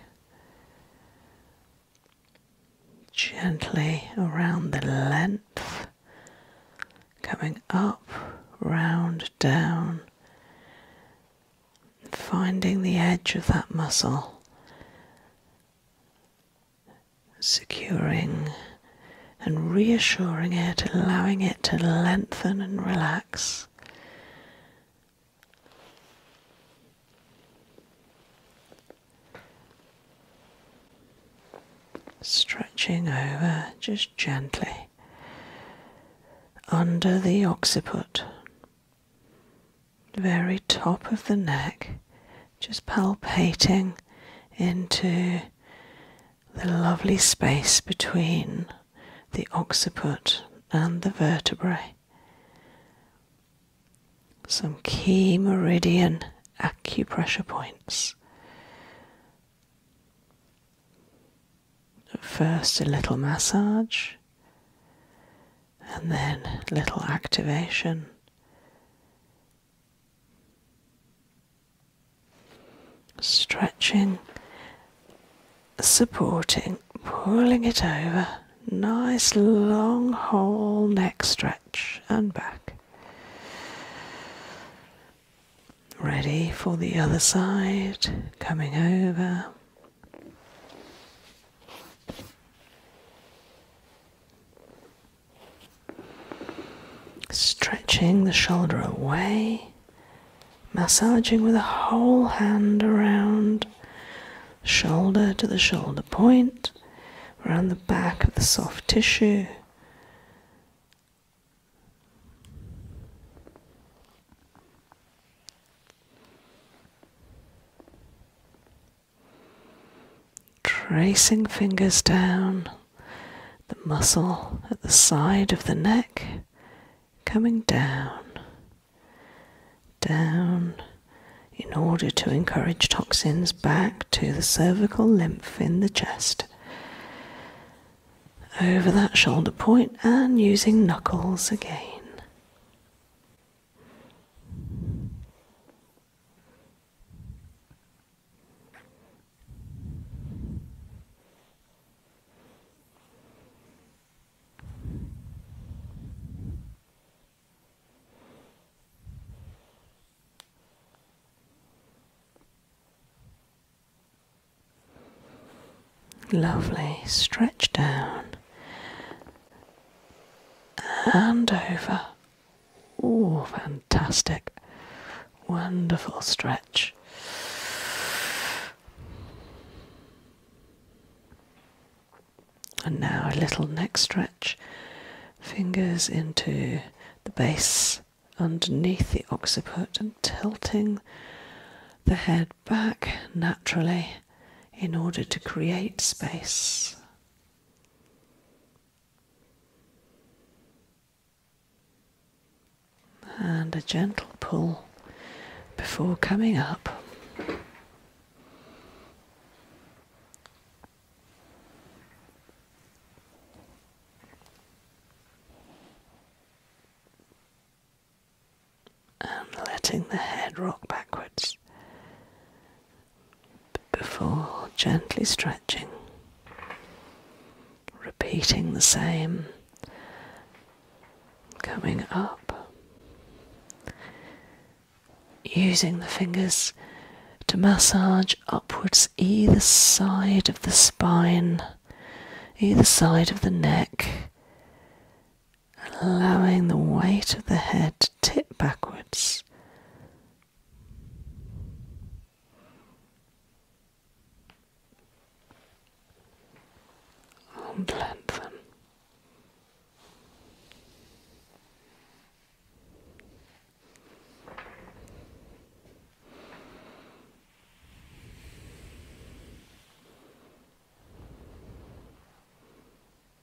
Gently around the length, coming up, round, down, finding the edge of that muscle, securing and reassuring it, allowing it to lengthen and relax. Stretching over just gently under the occiput, very top of the neck, just palpating into the lovely space between the occiput and the vertebrae. Some key meridian acupressure points. First, a little massage, and then little activation. Stretching, supporting, pulling it over. Nice long whole neck stretch and back. Ready for the other side, coming over. Stretching the shoulder away, massaging with a whole hand around shoulder to the shoulder point, around the back of the soft tissue. Tracing fingers down the muscle at the side of the neck, coming down, down, in order to encourage toxins back to the cervical lymph in the chest. Over that shoulder point and using knuckles again. Lovely, stretch down and over. Oh, fantastic. Wonderful stretch. And now a little neck stretch. Fingers into the base underneath the occiput and tilting the head back naturally in order to create space. And a gentle pull before coming up and um, letting the head rock backwards before gently stretching, repeating the same, coming up, using the fingers to massage upwards either side of the spine, either side of the neck allowing the weight of the head to tip backwards. i them.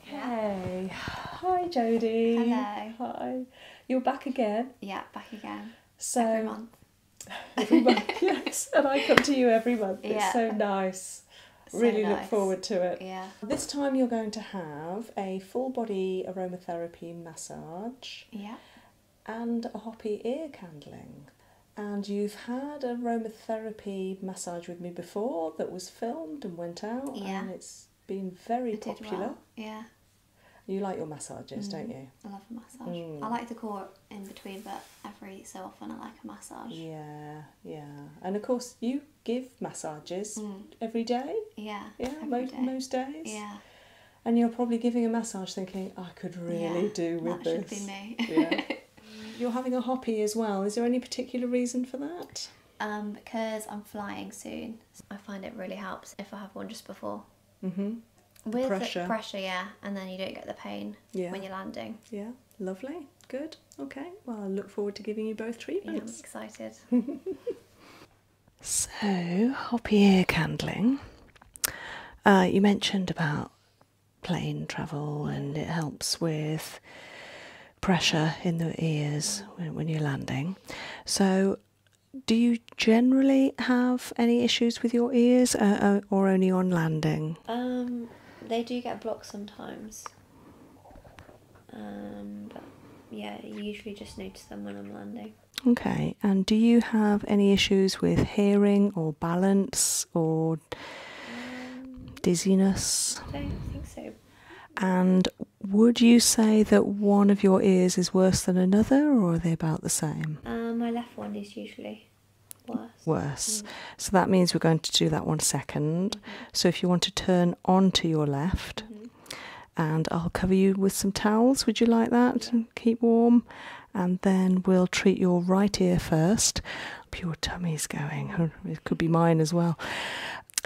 Hey, hi Jody. Hello. Hi. You're back again. Yeah, back again. So every month. yes. And I come to you every month. It's yeah. so nice. really look forward to it. Yeah. This time you're going to have a full body aromatherapy massage. Yeah. And a hoppy ear candling. And you've had aromatherapy massage with me before that was filmed and went out. Yeah. And it's being very popular. Yeah. You like your massages, don't mm. you? I love a massage. Mm. I like the core in between, but every so often I like a massage. Yeah, yeah. And of course, you give massages mm. every day. Yeah. Yeah, most days. Yeah. And you're probably giving a massage thinking, I could really do with this. That should be me. yeah. You're having a hoppy as well. Is there any particular reason for that? Um, because I'm flying soon I find it really helps if I have one just before. Mm-hmm. With pressure. pressure, yeah, and then you don't get the pain when you're landing. Yeah, lovely, good, okay. Well, I look forward to giving you both treatments. I'm excited. so, hoppy ear candling. Uh, you mentioned about plane travel and it helps with pressure in the ears when, you're landing. So, do you generally have any issues with your ears uh, uh, or only on landing? Um, they do get blocked sometimes. Um, yeah, usually just notice them when I'm landing. Okay, and do you have any issues with hearing or balance or um, dizziness? I don't think so, and would you say that one of your ears is worse than another, or are they about the same? Uh, my left one is usually worse. Worse. Mm. So that means we're going to do that one second. Mm-hmm. So if you want to turn onto your left, mm-hmm. and I'll cover you with some towels, would you like that? keep warm. And then we'll treat your right ear first. Your tummy's going. It could be mine as well.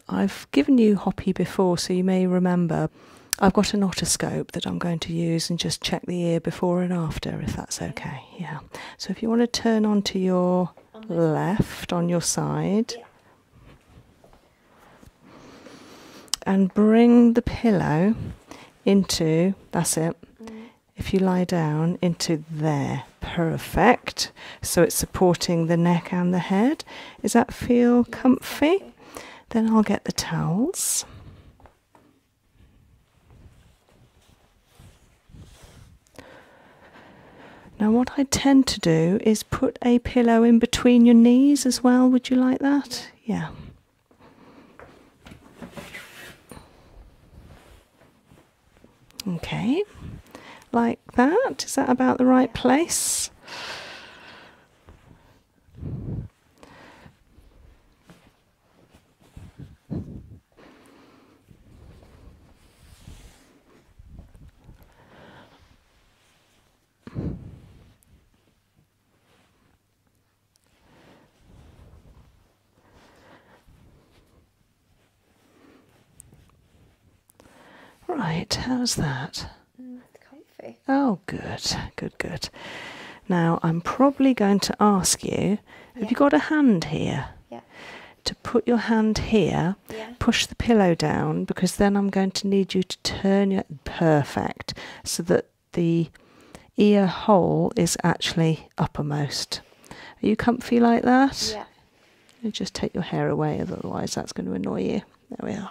I've given you Hoppy before, so you may remember. I've got an otoscope that I'm going to use and just check the ear before and after, if that's okay. Yeah. So if you want to turn onto your left on your side and bring the pillow into, that's it. Mm. If you lie down into there, perfect. So it's supporting the neck and the head. Does that feel comfy? Then I'll get the towels. Now, what I tend to do is put a pillow in between your knees as well. Would you like that? Yeah. Okay. Lie is that about the right place? Right, how's that? Mm, it's comfy. Oh, good, good, good. Now, I'm probably going to ask you have you got a hand here? Yeah. To put your hand here, yeah. push the pillow down because then I'm going to need you to turn your perfect so that the ear hole is actually uppermost. Are you comfy like that? Yeah. You just take your hair away, otherwise, that's going to annoy you. There we are.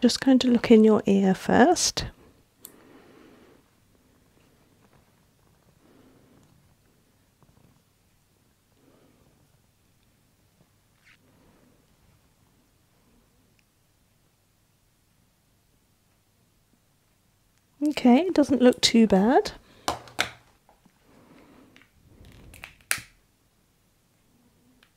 Just going to look in your ear first. Okay, it doesn't look too bad.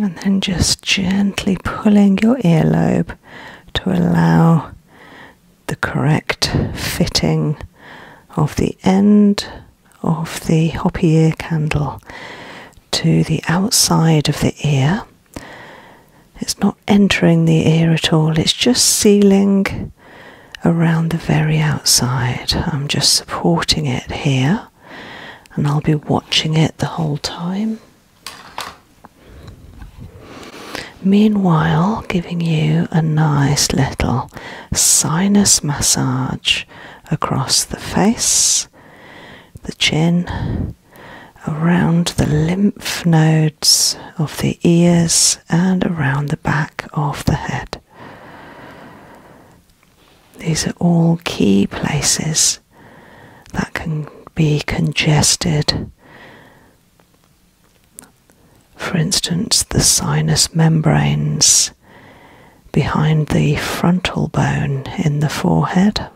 And then just gently pulling your earlobe to allow the correct fitting of the end of the hoppy ear candle to the outside of the ear. It's not entering the ear at all, it's just sealing around the very outside. I'm just supporting it here and I'll be watching it the whole time. Meanwhile, giving you a nice little sinus massage across the face, the chin, around the lymph nodes of the ears, and around the back of the head. These are all key places that can be congested. For instance, the sinus membranes behind the frontal bone in the forehead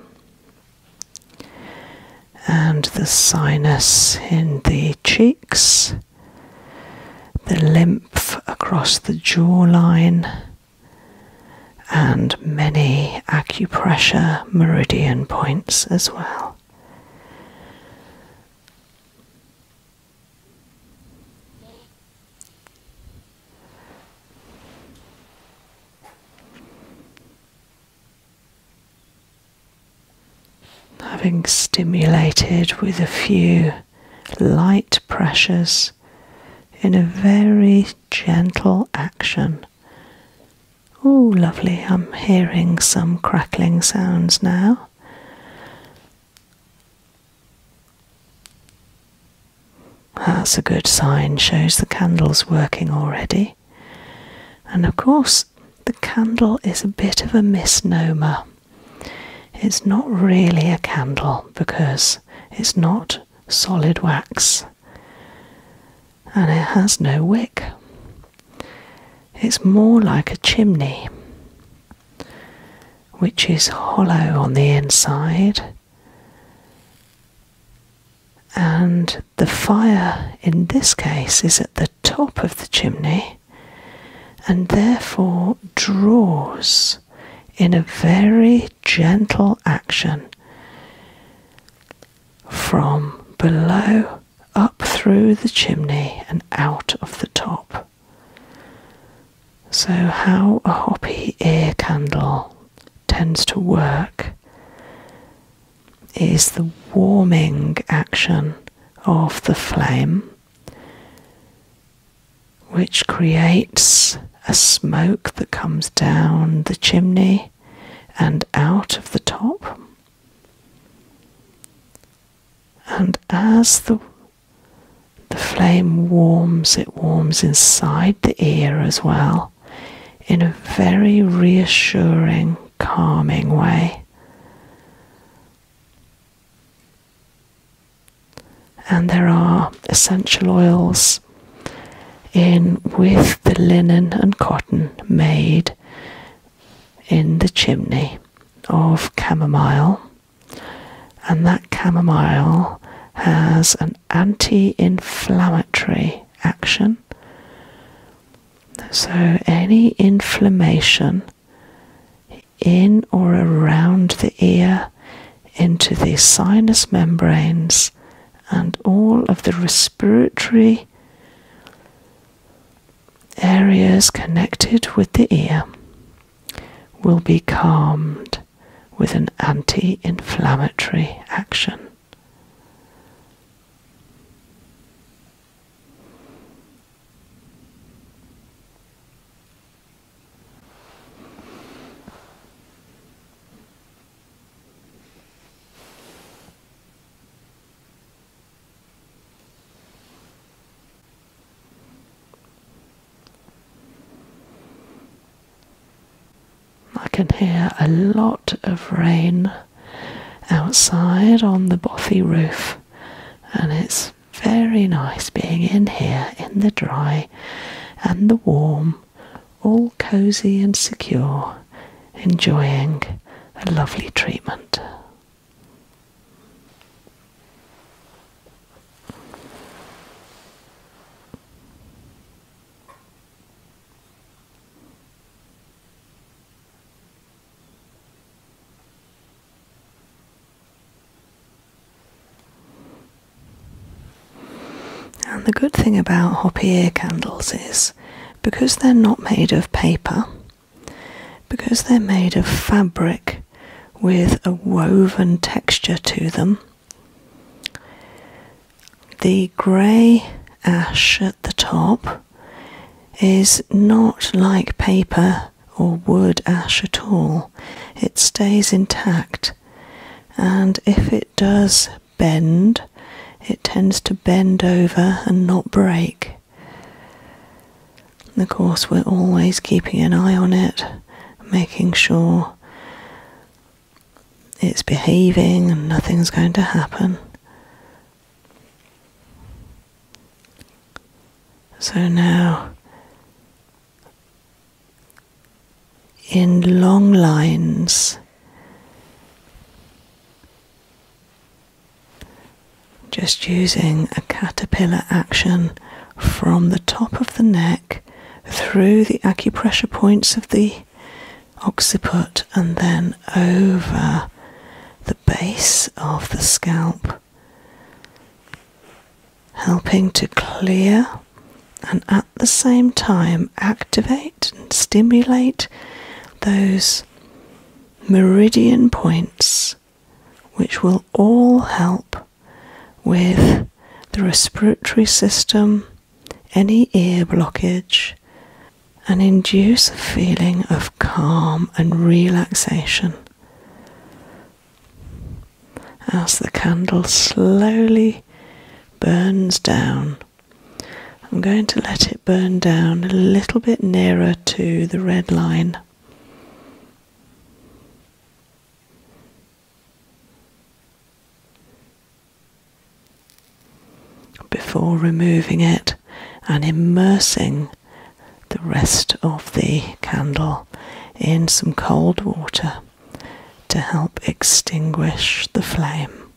and the sinus in the cheeks, the lymph across the jawline and many acupressure meridian points as well. Having stimulated with a few light pressures in a very gentle action, Oh, lovely, I'm hearing some crackling sounds now. That's a good sign, shows the candle's working already. And of course, the candle is a bit of a misnomer. It's not really a candle because it's not solid wax, and it has no wick. It's more like a chimney, which is hollow on the inside, and the fire in this case is at the top of the chimney and therefore draws in a very gentle action from below up through the chimney and out of the top. So, how a hoppy ear candle tends to work is the warming action of the flame, which creates a smoke that comes down the chimney and out of the top. And as the, the flame warms, it warms inside the ear as well in a very reassuring, calming way. And there are essential oils in with the linen and cotton made in the chimney of chamomile, and that chamomile has an anti inflammatory action. So, any inflammation in or around the ear, into the sinus membranes, and all of the respiratory areas connected with the ear will be calmed with an anti inflammatory action. I can hear a lot of rain outside on the Bothy roof, and it's very nice being in here in the dry and the warm all cozy and secure, enjoying a lovely treatment. And the good thing about hoppy ear candles is because they're not made of paper, because they're made of fabric with a woven texture to them, the grey ash at the top is not like paper or wood ash at all. It stays intact, and if it does bend, it tends to bend over and not break. And of course, we're always keeping an eye on it, making sure it's behaving and nothing's going to happen. So now in long lines. Just using a caterpillar action from the top of the neck through the acupressure points of the occiput and then over the base of the scalp, helping to clear and at the same time activate stimulate those meridian points, which will all help with the respiratory system, any ear blockage, and induce a feeling of calm and relaxation. As the candle slowly burns down I'm going to let it burn down a little bit nearer to the red line. Before removing it and immersing the rest of the candle in some cold water to help extinguish the flame.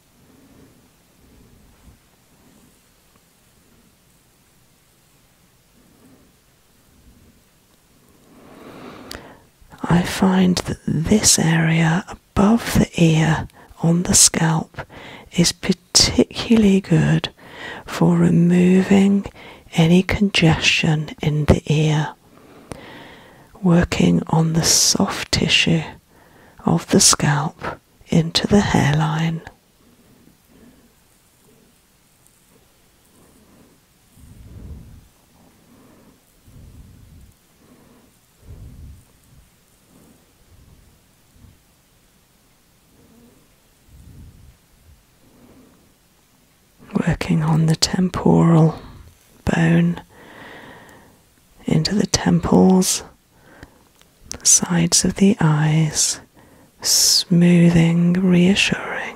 I find that this area above the ear on the scalp is particularly good for removing any congestion in the ear, working on the soft tissue of the scalp into the hairline. Working on the temporal bone into the temples, sides of the eyes, smoothing, reassuring.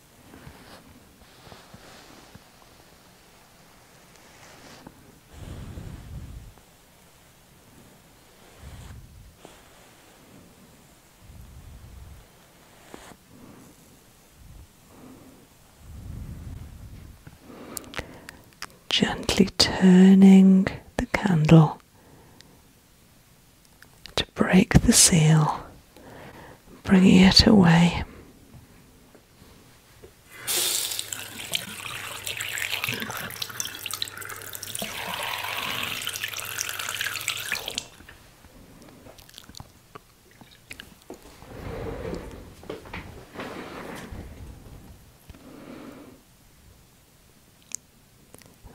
Gently turning the candle to break the seal bringing it away.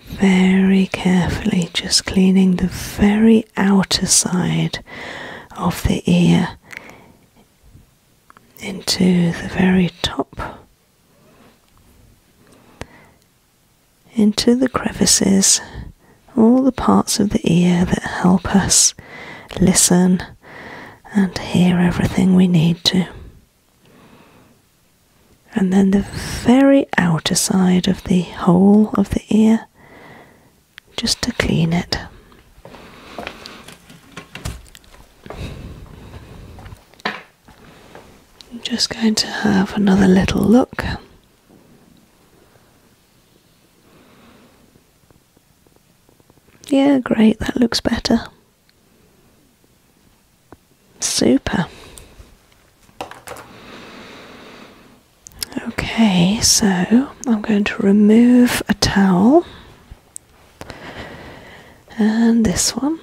Very carefully, just cleaning the very outer side of the ear into the very top, into the crevices, all the parts of the ear that help us listen and hear everything we need to. And then the very outer side of the whole of the ear just to clean it. I'm just going to have another little look. Yeah, great, that looks better. Super. Okay, so I'm going to remove a towel and this one.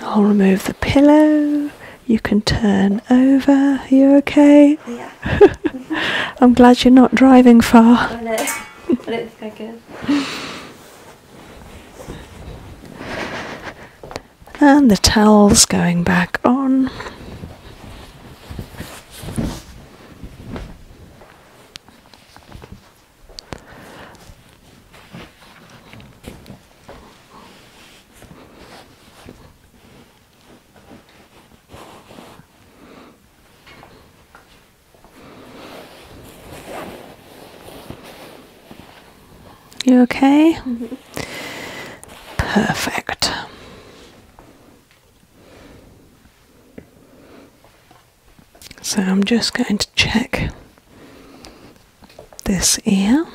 I'll remove the pillow. You can turn over. Are you okay? Yeah. I'm glad you're not driving far. I know. not think I and the towels going back on. You okay? Perfect. So I'm just going to check this ear.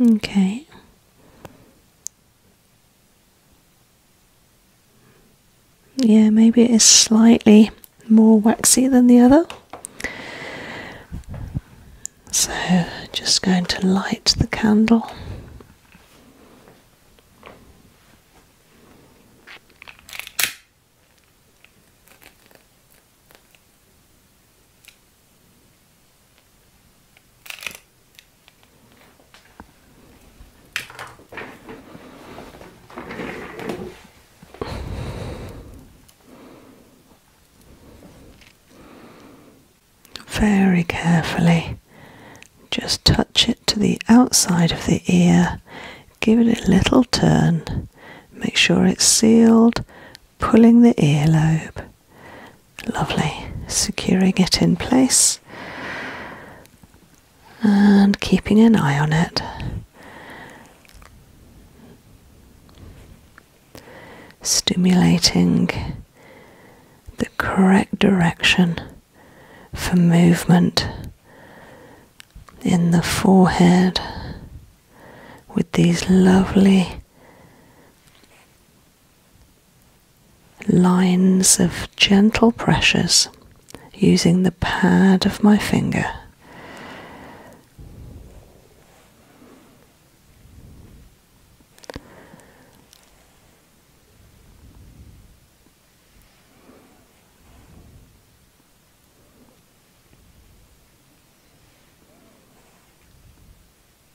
Okay yeah maybe it is slightly more waxy than the other so just going to light the candle very carefully, just touch it to the outside of the ear, give it a little turn, make sure it's sealed, pulling the earlobe. Lovely. Securing it in place and keeping an eye on it. Stimulating the correct direction for movement in the forehead with these lovely lines of gentle pressures using the pad of my finger.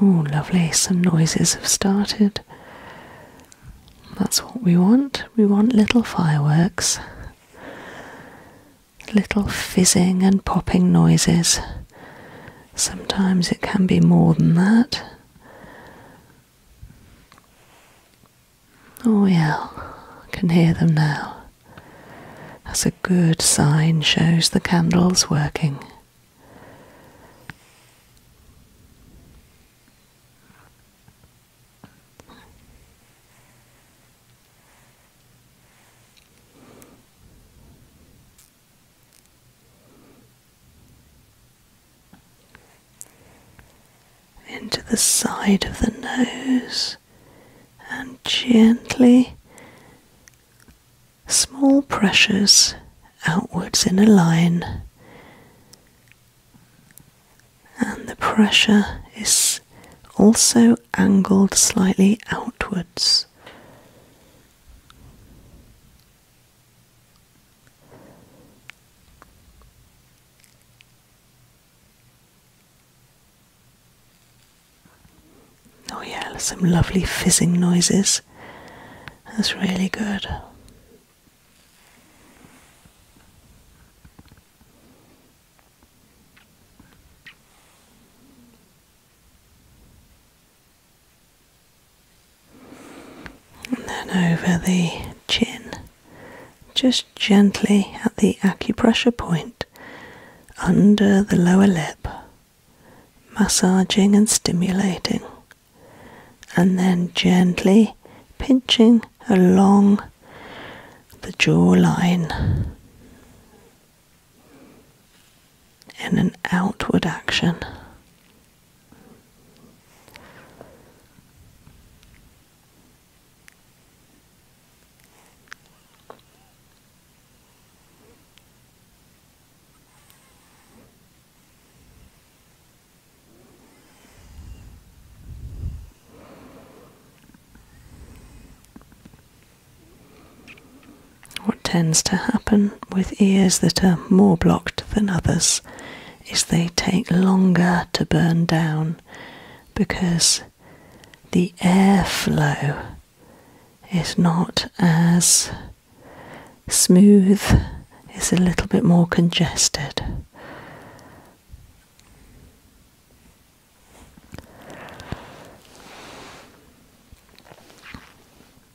Oh, lovely, some noises have started. That's what we want. We want little fireworks, little fizzing and popping noises Sometimes it can be more than that. Oh, yeah, I can hear them now. That's a good sign, shows the candle's working into the side of the nose and gently small pressures outwards in a line and the pressure is also angled slightly outwards Oh, yeah, some lovely fizzing noises. That's really good. And then over the chin, just gently at the acupressure point under the lower lip, massaging and stimulating. And then gently pinching along the jawline in an outward action. What tends to happen with ears that are more blocked than others is they take longer to burn down because the airflow is not as smooth, it's a little bit more congested.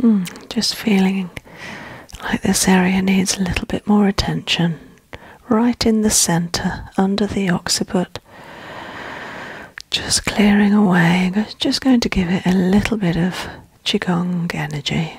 Hmm, just feeling like this area needs a little bit more attention. Right in the centre, under the occiput. Just clearing away, just going to give it a little bit of Qigong energy.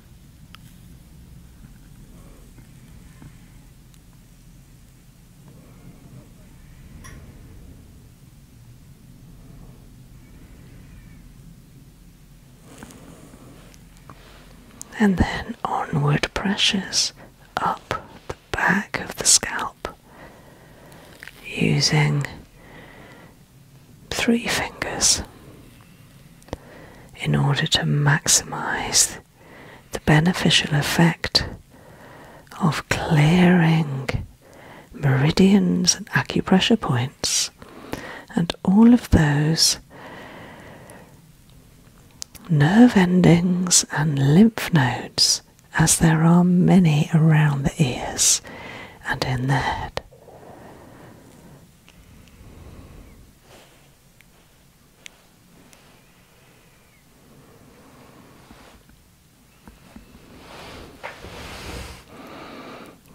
And then onward pressures up the back of the scalp using three fingers in order to maximize the beneficial effect of clearing meridians and acupressure points and all of those nerve endings and lymph nodes, as there are many around the ears and in the head.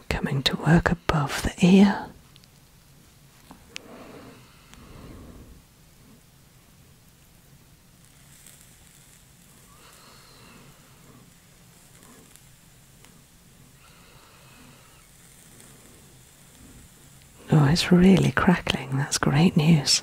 Coming to work above the ear. Oh, it's really crackling. That's great news.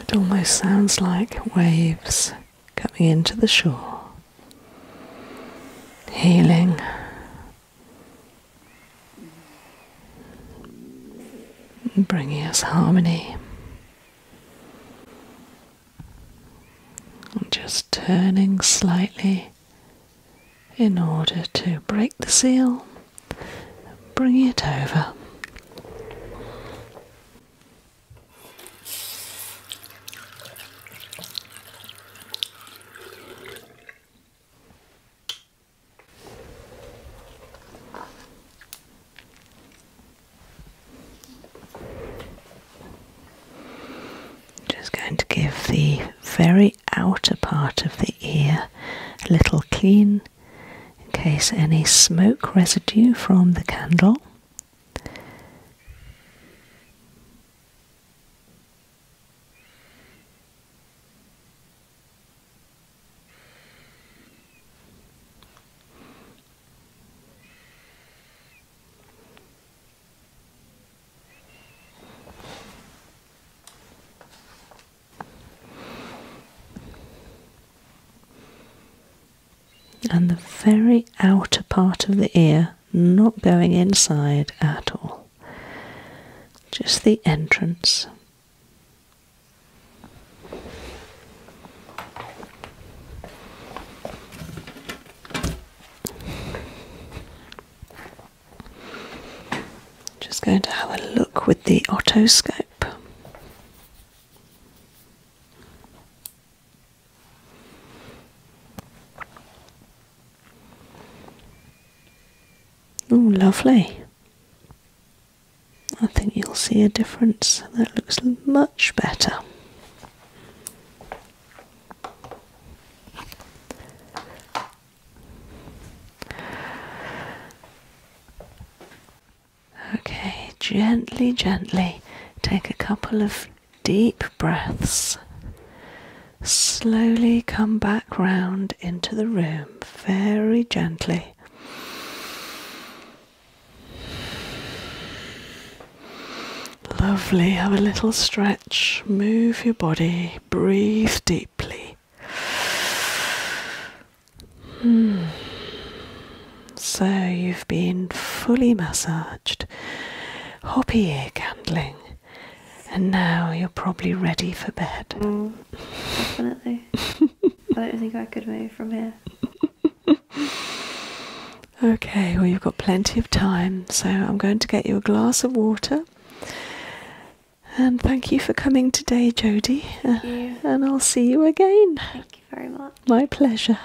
It almost sounds like waves coming into the shore, healing. Bringing us harmony, and just turning slightly in order to break the seal, bring it over. Just going to give the very outer part of the ear a little clean in case any smoke residue from the candle and the very outer part of the ear not going inside at all, just the entrance. Just going to have a look with the otoscope. Oh, lovely. I think you'll see a difference. That looks much better. Okay, gently, gently take a couple of deep breaths. Slowly come back round into the room very gently. Lovely. Have a little stretch. Move your body. Breathe deeply. Hmm. So you've been fully massaged, hoppy ear candling, and now you're probably ready for bed. Mm, definitely. I don't think I could move from here. okay, well, you've got plenty of time, so I'm going to get you a glass of water. And thank you for coming today, Jody. Uh, and I'll see you again. Thank you very much. My pleasure.